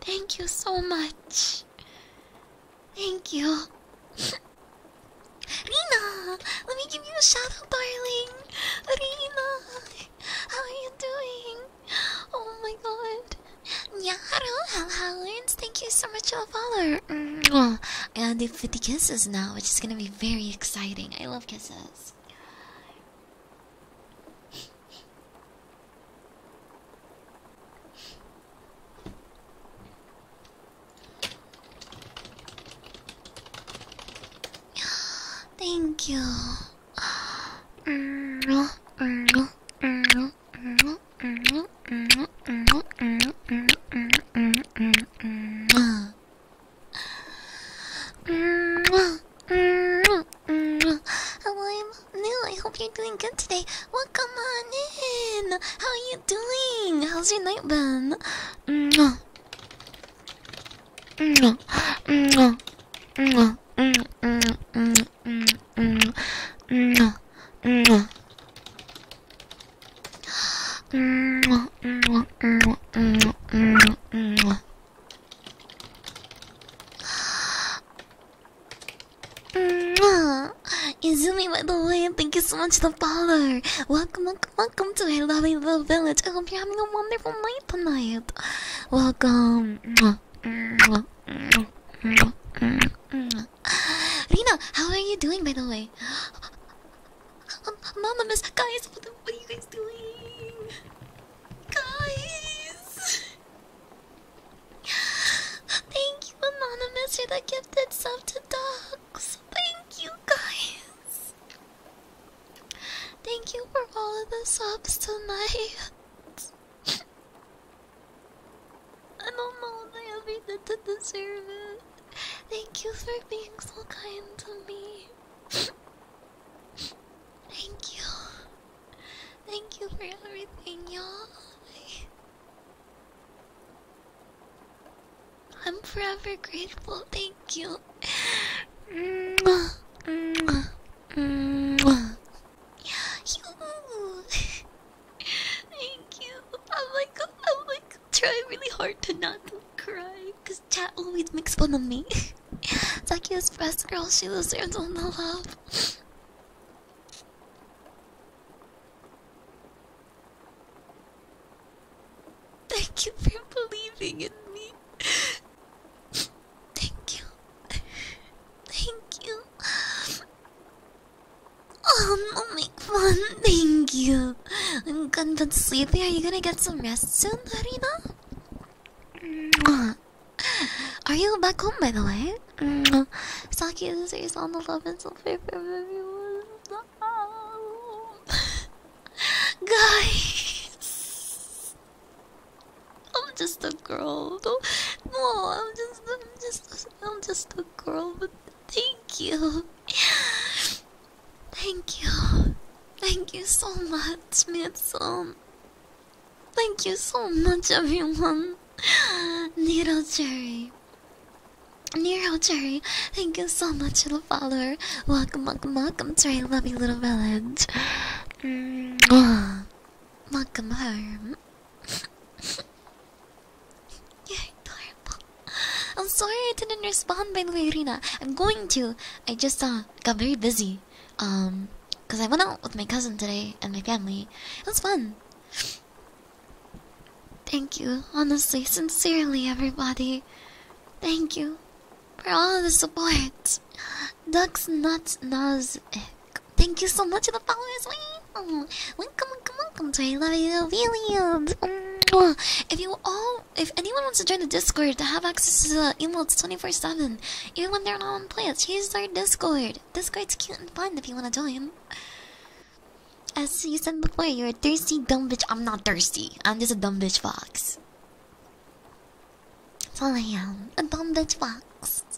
Thank you so much. Thank you. Rina, let me give you a shout out, darling. Rina, how are you doing? Oh my god. Yeah, hello, Howlands. Thank you so much for the follow. Mm -hmm. I gotta do 50 kisses now, which is gonna be very exciting. I love kisses. Thank you. Mm -hmm. Mm -hmm. Mm -hmm. Mm -hmm. Mm -hmm. Mm -hmm. Mm -hmm. Mm -hmm. Mm -hmm. Mm -hmm. Mm -hmm. Hello, I'm new. I hope you're doing good today. Welcome on in. How are you? doing? How's your night been? Mwah. Mwah. Mwah. Mwah. Mwah. Mwah. Mwah. Mwah. Mwah. Mwah. Mwah. Mwah. Mwah. Mwah. Mwah. Huh? Izumi, by the way, thank you so much for the follow. Welcome, welcome, to a lovely little village. I hope you're having a wonderful night tonight. Welcome. Rina, how are you doing, by the way? Um, Mama, miss, guys, what, the, what are you guys doing? Guys! Thank you, Anonymous, for the gifted sub to Dog thank you guys. Thank you for all of the subs tonight. I don't know if I have anything deserve it. Thank you for being so kind to me. Thank you. Thank you for everything, y'all. I'm forever grateful. Thank you. Thank you. I'm like, I'm like trying really hard to not to chat always makes fun of me. Takia's best girl, she deserves all the love. Thank you for believing in me. Thank you. Thank you. Um, oh, no, make fun. Thank you. I'm gone but sleepy. Are you gonna get some rest soon, Harina? Mm. Are you back home, by the way? Mm. Uh, Saki, this is on the love and self-care everyone. Guys, I'm just a girl. do no, I'm just, I'm just, I'm just a girl. But thank you, thank you, thank you so much, Mitsun. Thank you so much, everyone. Needle Jerry. Nero Cherry, thank you so much for the follower. Welcome, welcome, welcome to Love you, little village. Mm. welcome home. You're adorable. I'm sorry I didn't respond, by the way, I'm going to. I just uh, got very busy. Um, because I went out with my cousin today and my family. It was fun. Thank you, honestly, sincerely, everybody. Thank you for all the support. Ducks, nuts, nuts. Thank you so much for the followers. Oh, welcome, welcome, welcome to I Love You, Williams. If you all, if anyone wants to join the Discord to have access to the emails 24 7, even when they're not on players, here's our Discord. Discord's cute and fun if you want to join. As you said before, you're a thirsty dumb bitch. I'm not thirsty. I'm just a dumb bitch fox. That's all I am. A dumb bitch fox.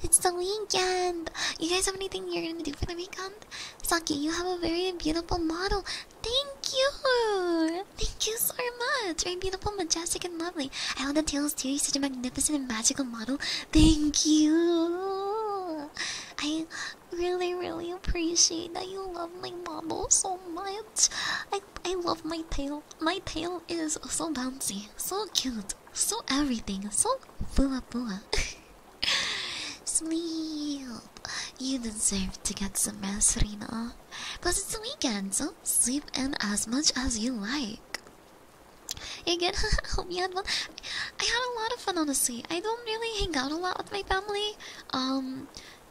It's the weekend. You guys have anything you're gonna do for the weekend? Saki, you have a very beautiful model. Thank you. Thank you so much. Very beautiful, majestic, and lovely. I love the tails too. You're such a magnificent and magical model. Thank you. I really, really appreciate that you love my bobble so much. I I love my tail. My tail is so bouncy, so cute, so everything, so booa booa. Sleep. You deserve to get some rest, Rina. Plus it's the weekend, so sleep in as much as you like. You good? Hope you had fun. I had a lot of fun, honestly. I don't really hang out a lot with my family. Um,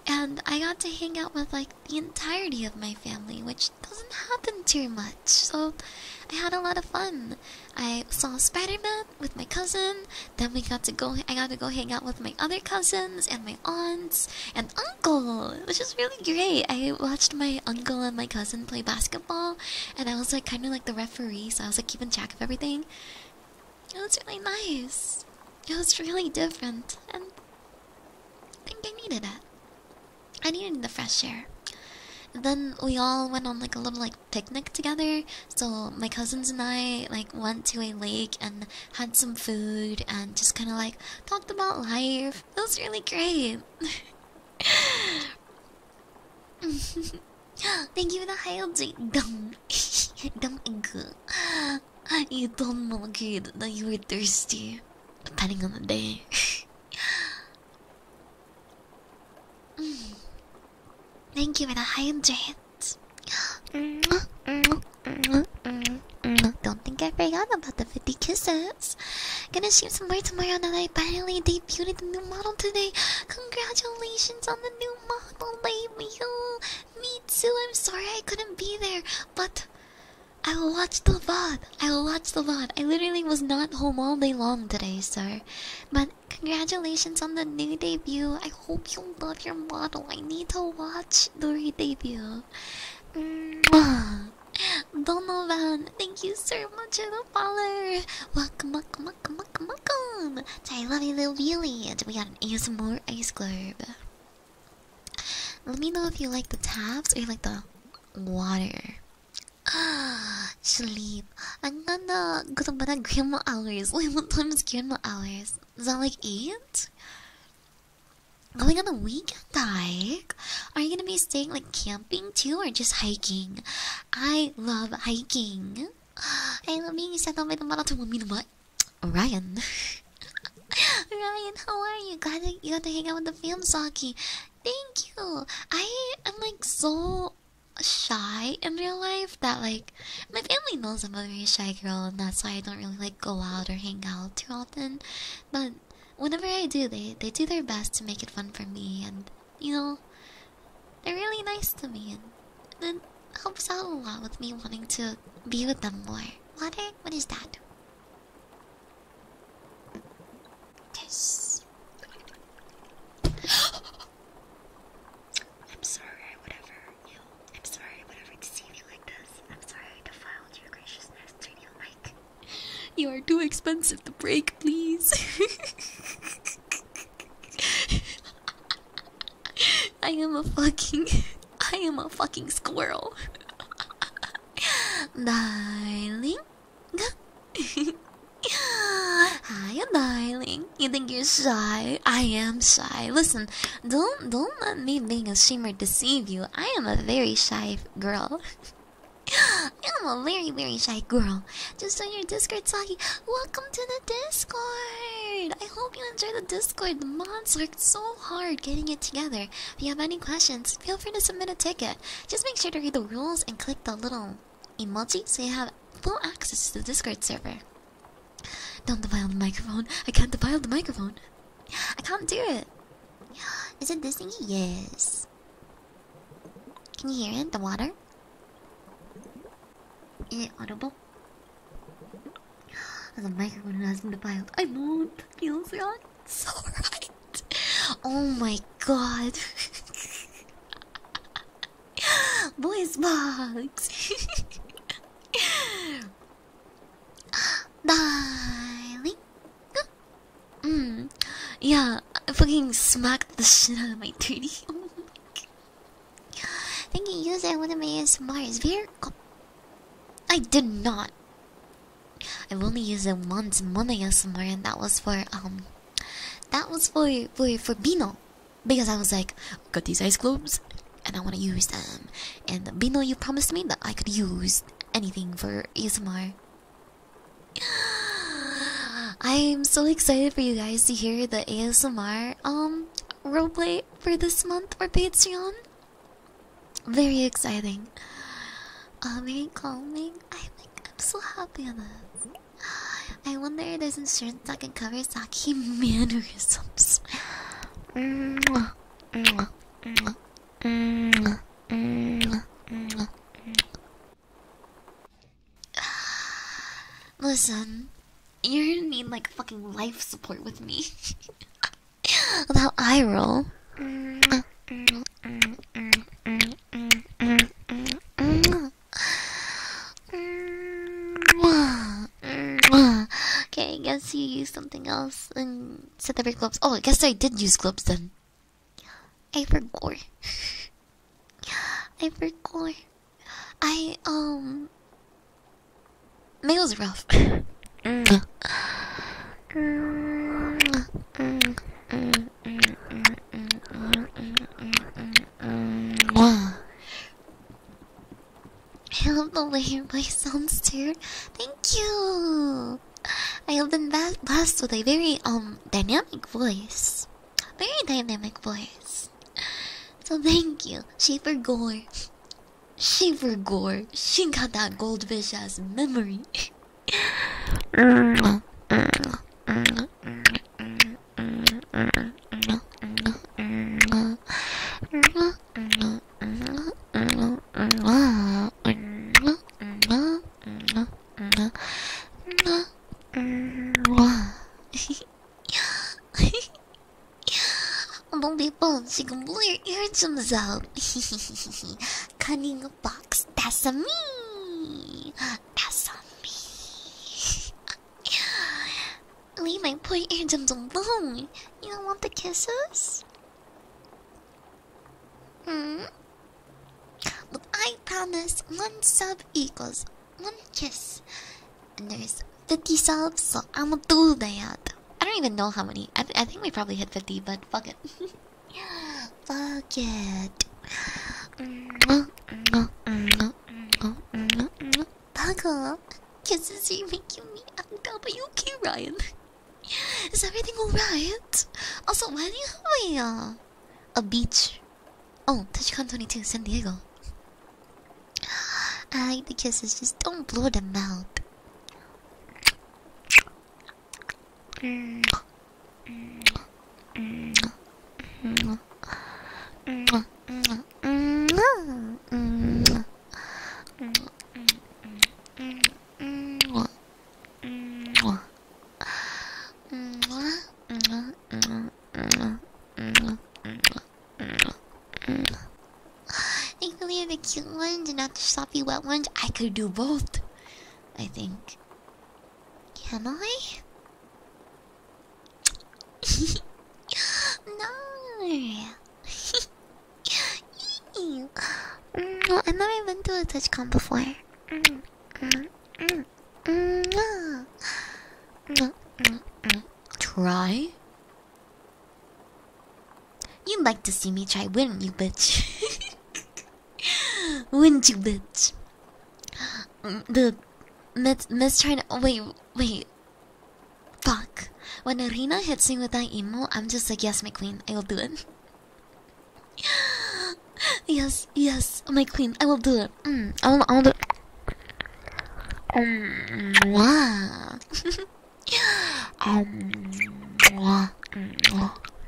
and I got to hang out with like the entirety of my family, which doesn't happen too much. So I had a lot of fun. I saw Spider-Man with my cousin. Then we got to go. I got to go hang out with my other cousins and my aunts and uncle, which is really great. I watched my uncle and my cousin play basketball, and I was like kind of like the referee, so I was like keeping track of everything. It was really nice. It was really different, and I think I needed it. I needed the fresh air. then we all went on like a little like picnic together. So my cousins and I like went to a lake and had some food and just kind of like talked about life. It was really great. Thank you for the high update, dumb, dumb girl. You told my kid that you were thirsty, depending on the day. mm. Thank you for the high update. Don't think I forgot about the 50 kisses. Gonna shoot some more tomorrow that I finally debuted the new model today. Congratulations on the new model, baby. Me too. I'm sorry I couldn't be there, but I watched the VOD. I watched the VOD. I literally was not home all day long today, sir. But congratulations on the new debut. I hope you love your model. I need to watch the re-debut. Donovan, thank you so much for the follower. Welcome, welcome, welcome, welcome, welcome, welcome to I Love You Little Village. We got an ASMR ice globe. Let me know if you like the tabs or you like the water. Sleep. I'm gonna go to bed at grandma hours. Wait, what time is grandma hours? Is that like 8? Going on a weekend hike? Are you gonna be staying like camping too or just hiking? I love hiking. I love being set up by the marathon. Ryan. Ryan, how are you? Glad that you got to hang out with the fam, Saki. Thank you. I am like so shy in real life that like my family knows I'm a very shy girl, and that's why I don't really like go out or hang out too often. But whenever I do, they they do their best to make it fun for me, and you know, they're really nice to me, and it helps out a lot with me wanting to be with them more. Water? What is that? This. I'm sorry, whatever I'm sorry, whatever deceived you like this. I'm sorry defiled your graciousness to You are too expensive to break, please. I am a fucking I am a fucking squirrel. darling. Hi darling. You think you're shy? I am shy. Listen, don't don't let me being a shamer deceive you. I am a very shy girl. I'm a very, very shy girl. Just on your Discord talking. Welcome to the Discord. I hope you enjoy the Discord. The mods worked so hard getting it together. If you have any questions, feel free to submit a ticket. Just make sure to read the rules and click the little emoji so you have full access to the Discord server. Don't defile the microphone. I can't defile the microphone. I can't do it. Is it this thingy? Yes. Can you hear it? The water? Is it audible? The microphone has been defiled. I know that feels right. So right. Oh my god. Voice box. Darling. Mm. Yeah, I fucking smacked the shit out of my titty. Oh Thank you, user. I want to make it smart. I did not. I've only used it once, one ASMR, and that was for um, that was for for for Bino, because I was like, got these ice cubes, and I want to use them. And Bino, you promised me that I could use anything for ASMR. I'm so excited for you guys to hear the ASMR um roleplay for this month for Patreon. Very exciting. Uh, very calming. I think I'm so happy on this. I wonder if there's insurance that can cover Saki mannerisms. Listen, you're gonna need like fucking life support with me. Without eye roll. Okay, I guess you used something else and said the red gloves. Oh, I guess I did use gloves then. I forgot. I forgot. I um Mail's rough. Mm. I love the way your voice sounds, too. Thank you. I have been blessed with a very um dynamic voice, very dynamic voice. So thank you, Shaper Gore. Silver gore. She got that goldfish as memory. Don't be bones, you can blow your eardrums out. Cutting a box, that's a me. That's a me. Leave my poor eardrums alone. You don't want the kisses? Hmm? But I promise one sub equals one kiss and there's 50 subs, so I'ma do that. I don't even know how many. I, th I think we probably hit 50, but fuck it. fuck it. Buckle, kisses you make you meet WQ Ryan. Is everything alright? Also, why do you have a uh, a beach? Oh, TouchCon 22, San Diego. I like the kisses, just don't blow them out. Thankfully, I have the cute ones and not the sloppy wet ones. I could do both, I think. Can I? no. Ew. I've never been to a touch con before. Try? You'd like to see me try, wouldn't you, bitch? wouldn't you, bitch? The Miss, Miss trying oh, wait, wait. Fuck. When Arina hits me with that emo, I'm just like, yes, my queen, I will do it. yes, yes, my queen, I will do it. Mm, I will, I will do Um, wow. Katerina! Oh.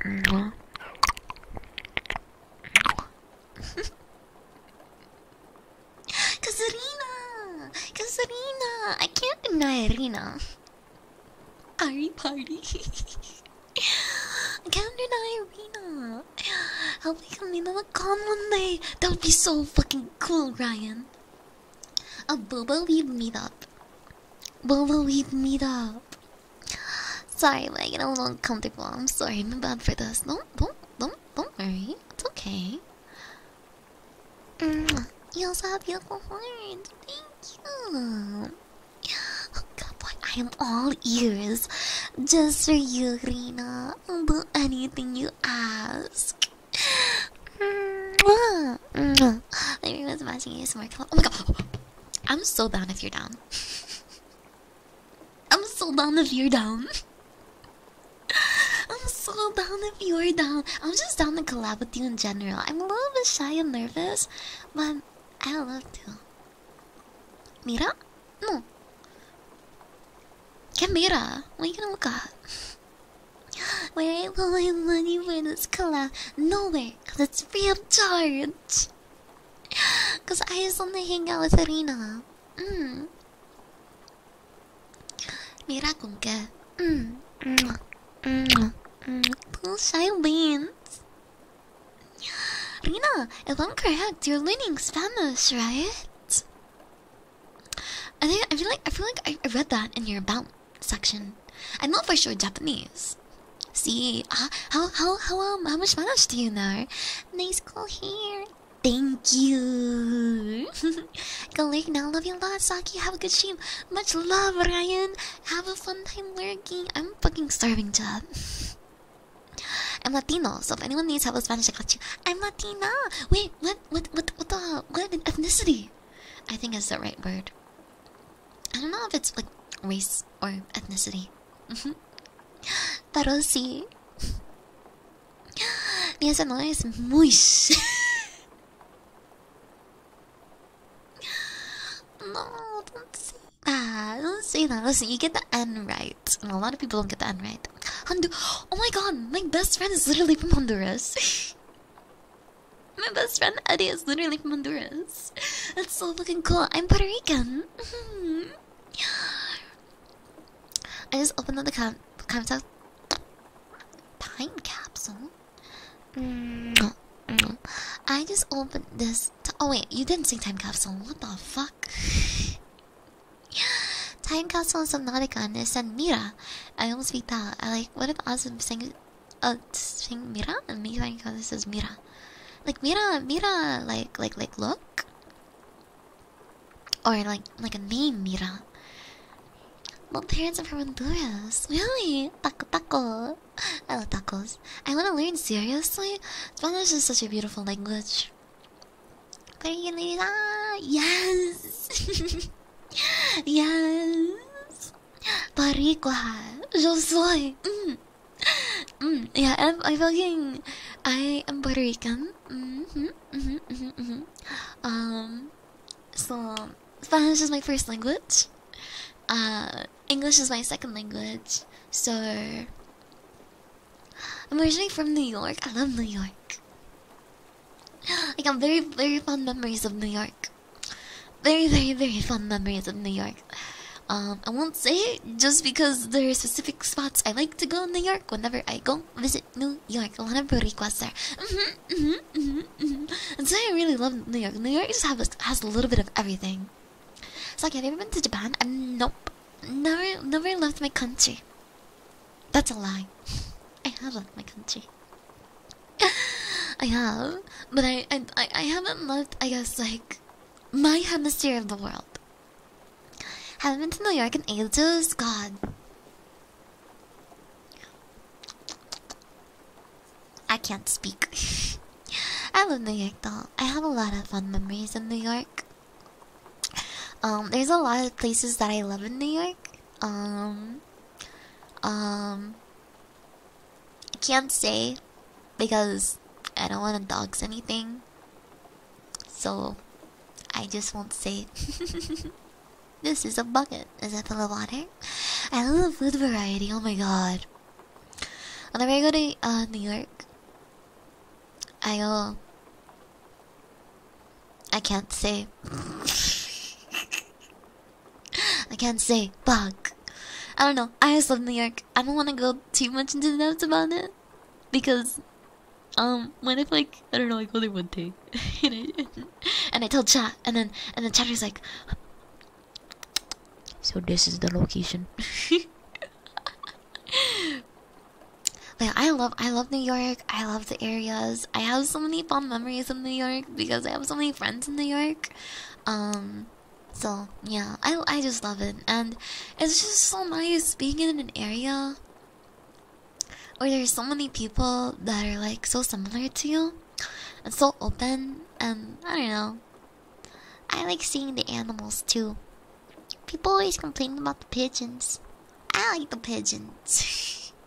Katerina! I can't deny Irina. Are you party? I can't deny Irina. Help me come into the con one day. That would be so fucking cool, Ryan. A boobo weeb meetup. Boobo weeb meetup. Sorry, I like a little uncomfortable. I'm sorry, I'm bad for this. Don't, don't, don't, don't worry. It's okay. Mm, you also have beautiful horns. Thank you. Oh, boy. I am all ears, just for you, Rina. i anything you ask. Maybe was watching you somewhere. Oh my god. I'm so down if you're down. I'm so down if you're down. I'm so down if you're down. I'm just down to collab with you in general. I'm a little bit shy and nervous, but I love to. Mira? No. Que mira? What are you gonna look at? Where I put my money for this collab? Nowhere, cause it's free of charge. Cause I just want to hang out with Arena. Mm. Mira con qué. Mm. Mm. Mm. Mm. Two shy wins. Rina, if I'm correct, you're learning Spanish, right? I think I feel like I feel like I read that in your about section. I'm not for sure Japanese. See, uh, how how how um, how much Spanish do you know? Nice call here. Thank you. Colleague, now love you a lot. Saki, have a good stream. Much love, Ryan. Have a fun time working. I'm fucking starving, job. I'm Latino, so if anyone needs help with Spanish, I got you. I'm Latina. Wait, what? What? What? What the? What ethnicity? I think is the right word. I don't know if it's like race or ethnicity. Pero sí. Mi ASMR es muy. no, don't say that. Don't say that. Listen, you get the N right. And a lot of people don't get the N right. Hondu oh my god, my best friend is literally from Honduras. My best friend Eddie is literally from Honduras. That's so fucking cool. I'm Puerto Rican. Mm-hmm. I just opened up the com contact time capsule. Mm-hmm. I just opened this. Oh wait, you didn't say time capsule. What the fuck? Time capsule is Subnautica and Mira. I almost beat that. I what if Azim sings, uh, sing Mira and me saying, to this is Mira, like Mira, Mira, like, like, like, look, or like, like a name Mira. Well, parents of from Honduras, really? Taco, taco. I love tacos. I want to learn seriously. Spanish is such a beautiful language. Yes. Yes. Baricua. Yo soy. Mm. Mm. Yeah, I'm, I fucking. I am Puerto Rican. Mm -hmm, mm -hmm, mm Um, so Spanish is my first language. Uh, English is my second language. So I'm originally from New York. I love New York. I got very, very fond memories of New York. Very, very, very fond memories of New York. Um, I won't say it just because there are specific spots I like to go in New York whenever I go visit New York. A lot of requests there. Mm-hmm, mm-hmm, mm-hmm, so I really love New York. New York just have has a little bit of everything. It's like, have you ever been to Japan? Uh, nope. Never, never left my country. That's a lie. I have left my country. I have, but I, I I haven't left. I guess like my hemisphere of the world. Haven't been to New York in ages. God. I can't speak. I love New York though. I have a lot of fun memories in New York. Um, there's a lot of places that I love in New York. Um, um, I can't say because I don't want to dox anything, so I just won't say. this is a bucket. Is that full of water? I love food variety. Oh my god! Whenever I go to uh, New York, I go. I can't say. I can't say. Fuck. I don't know. I just love New York. I don't want to go too much into the depths about it. Because, um, what if, like, I don't know, I go there one day. and, I, and I tell Chat. And then, and then Chat is like, so this is the location. Like I love I love New York. I love the areas. I have so many fond memories in New York because I have so many friends in New York. Um, so yeah, I I just love it, and it's just so nice being in an area where there's so many people that are like so similar to you, and so open, and I don't know. I like seeing the animals too. People always complain about the pigeons. I like the pigeons.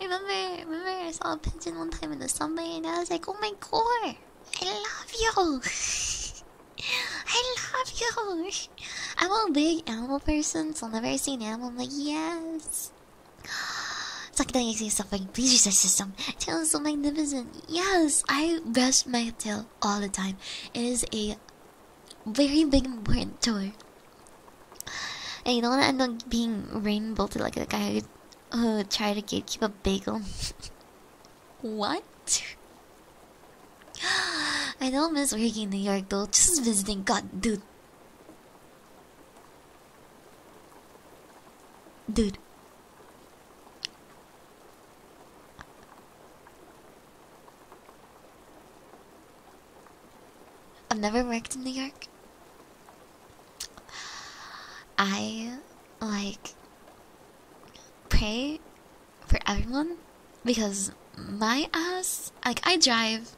I remember, remember I saw a pigeon one time in the subway, and I was like, "Oh my god, I love you! I love you!" I'm a big animal person, so whenever I see an animal, I'm like, "Yes!" I Sucking suffering, please use system. Tail is so magnificent. Yes, I brush my tail all the time. It is a very big important tour and you don't want to end up being rain like the guy who tried to keep a bagel. what? I don't miss working in New York though, just visiting. God, dude. Dude. I've never worked in New York. I like pray for everyone because my ass like I drive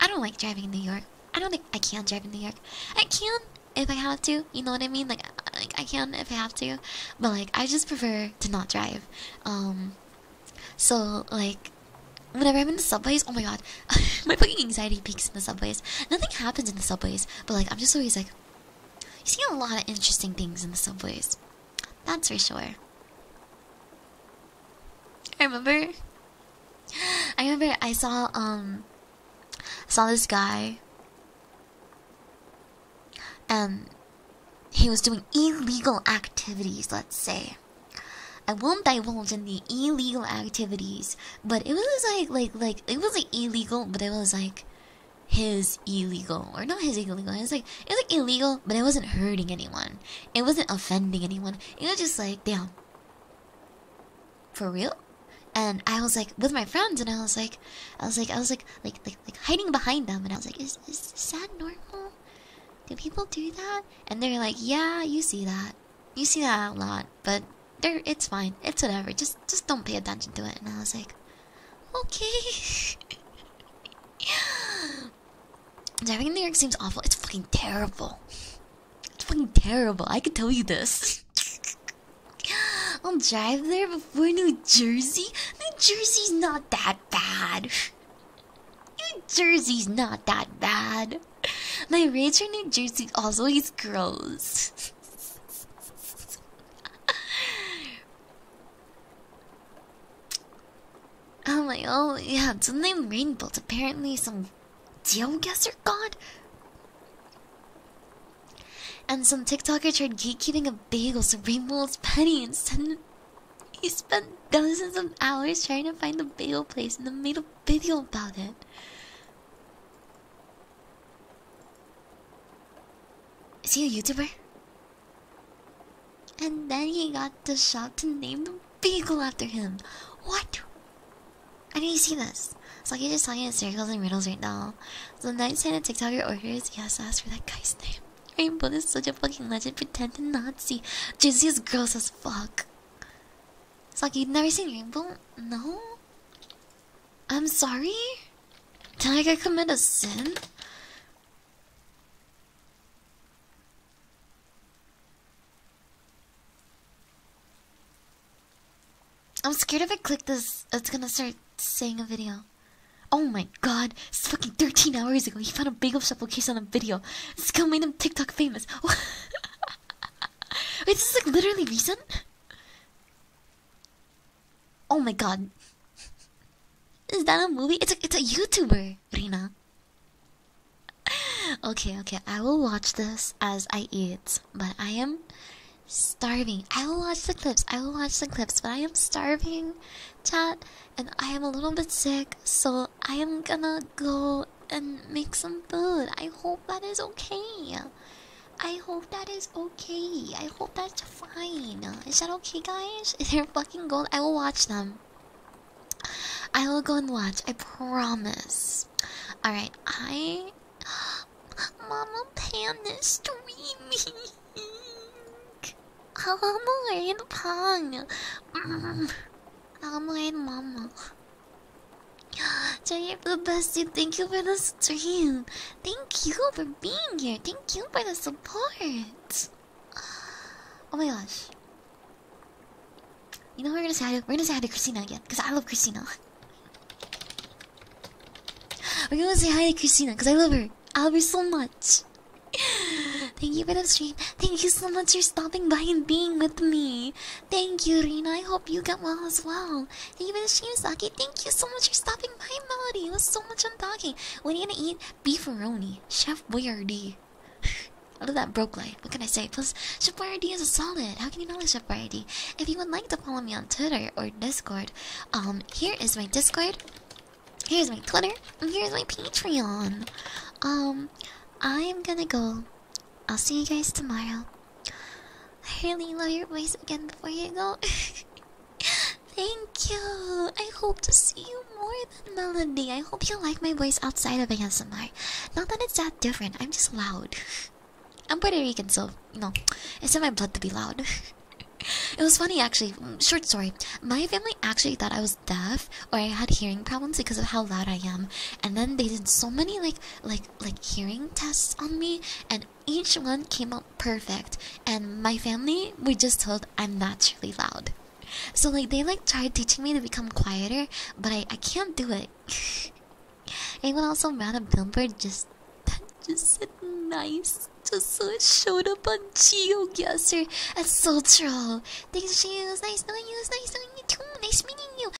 I don't like driving in New York. I don't think I can drive in New York. I can if I have to, you know what I mean? Like like I can if I have to, but like I just prefer to not drive. Um so like Whenever I'm in the subways, oh my god, my fucking anxiety peaks in the subways. Nothing happens in the subways, but like I'm just always like, you see a lot of interesting things in the subways. That's for sure. I remember, I remember I saw um, saw this guy, and um, he was doing illegal activities. Let's say, I won't divulge in the illegal activities, but it was like like like it wasn't illegal, but it was like his illegal or not his illegal. It was like it was like illegal, but it wasn't hurting anyone. It wasn't offending anyone. It was just like damn, for real. And I was like with my friends, and I was like, I was like, I was like, like like like hiding behind them, and I was like, is is that normal? Do people do that? And they're like, yeah, you see that. You see that a lot but they it's fine. It's whatever. Just just don't pay attention to it. And I was like, okay. Driving in New York seems awful. It's fucking terrible. It's fucking terrible. I could tell you this. I'll drive there before New Jersey. New Jersey's not that bad. New Jersey's not that bad. My rage in New Jersey always grows. oh my oh yeah, it's the name Rainbolt, apparently some geoguesser god? And some TikToker tried gatekeeping a bagel, so Rainbolt's petty and sent he spent dozens of hours trying to find the bagel place and then made a video about it. Is he a YouTuber? And then he got the shop to name the beagle after him. What? I did to see this. It's like you're just talking in circles and riddles right now. So the night sent a he has to ask for that guy's name. Rainbow is such a fucking legend, pretend to not see. Jizzy is gross as fuck. It's like you've never seen Rainbow? No? I'm sorry? Did I commit a sin? I'm scared if I click this, it's gonna start saying a video. Oh my god, it's fucking 13 hours ago. He found a bagel shop location on a video. This girl made him TikTok famous. Wait, this is like literally recent? Oh my god. Is that a movie? It's a it's a YouTuber, Rina. Okay, okay. I will watch this as I eat, but I am starving. I will watch the clips. I will watch the clips, but I am starving, chat, and I am a little bit sick, so I am gonna go and make some food. I hope that is okay. I hope that is okay. I hope that's fine. Is that okay, guys? They're fucking gold. I will watch them. I will go and watch. I promise. Alright, I. Mama Panda streaming. I'm worried, Pong. I'm worried, Mama. you for the bestie, thank you for the stream. Thank you for being here. Thank you for the support. Oh my gosh. You know we're gonna say hi to, we're gonna say hi to Christina again because I love Christina. We're gonna say hi to Christina because I love her. I love her so much. Thank you for the stream. Thank you so much for stopping by and being with me. Thank you, Rina. I hope you get well as well. Even Shimsaki, thank you so much for stopping by, Melody. It was so much fun talking. we are gonna eat beefaroni? Chef Boyardee. I love that broke life. What can I say? Plus, Chef Boyardee is a solid. How can you not like Chef Boyardee? If you would like to follow me on Twitter or Discord, um, here is my Discord. Here's my Twitter. here's my Patreon. Um, I'm gonna go I'll see you guys tomorrow. I really love your voice again before you go. Thank you. I hope to see you more than Melody. I hope you like my voice outside of ASMR. Not that it's that different, I'm just loud. I'm Puerto Rican, so, you know, it's in my blood to be loud. it was funny, actually. Mm, short story. My family actually thought I was deaf or I had hearing problems because of how loud I am. And then they did so many, like, like like like hearing tests on me and each one came out perfect and my family we just told I'm naturally loud. So like they like tried teaching me to become quieter, but I I can't do it. Anyone else around a billboard just that just said nice just so it showed up on GeoGuessr. That's so troll. Thanks, Geo. It's nice knowing you. It's nice knowing you too. Nice meeting you.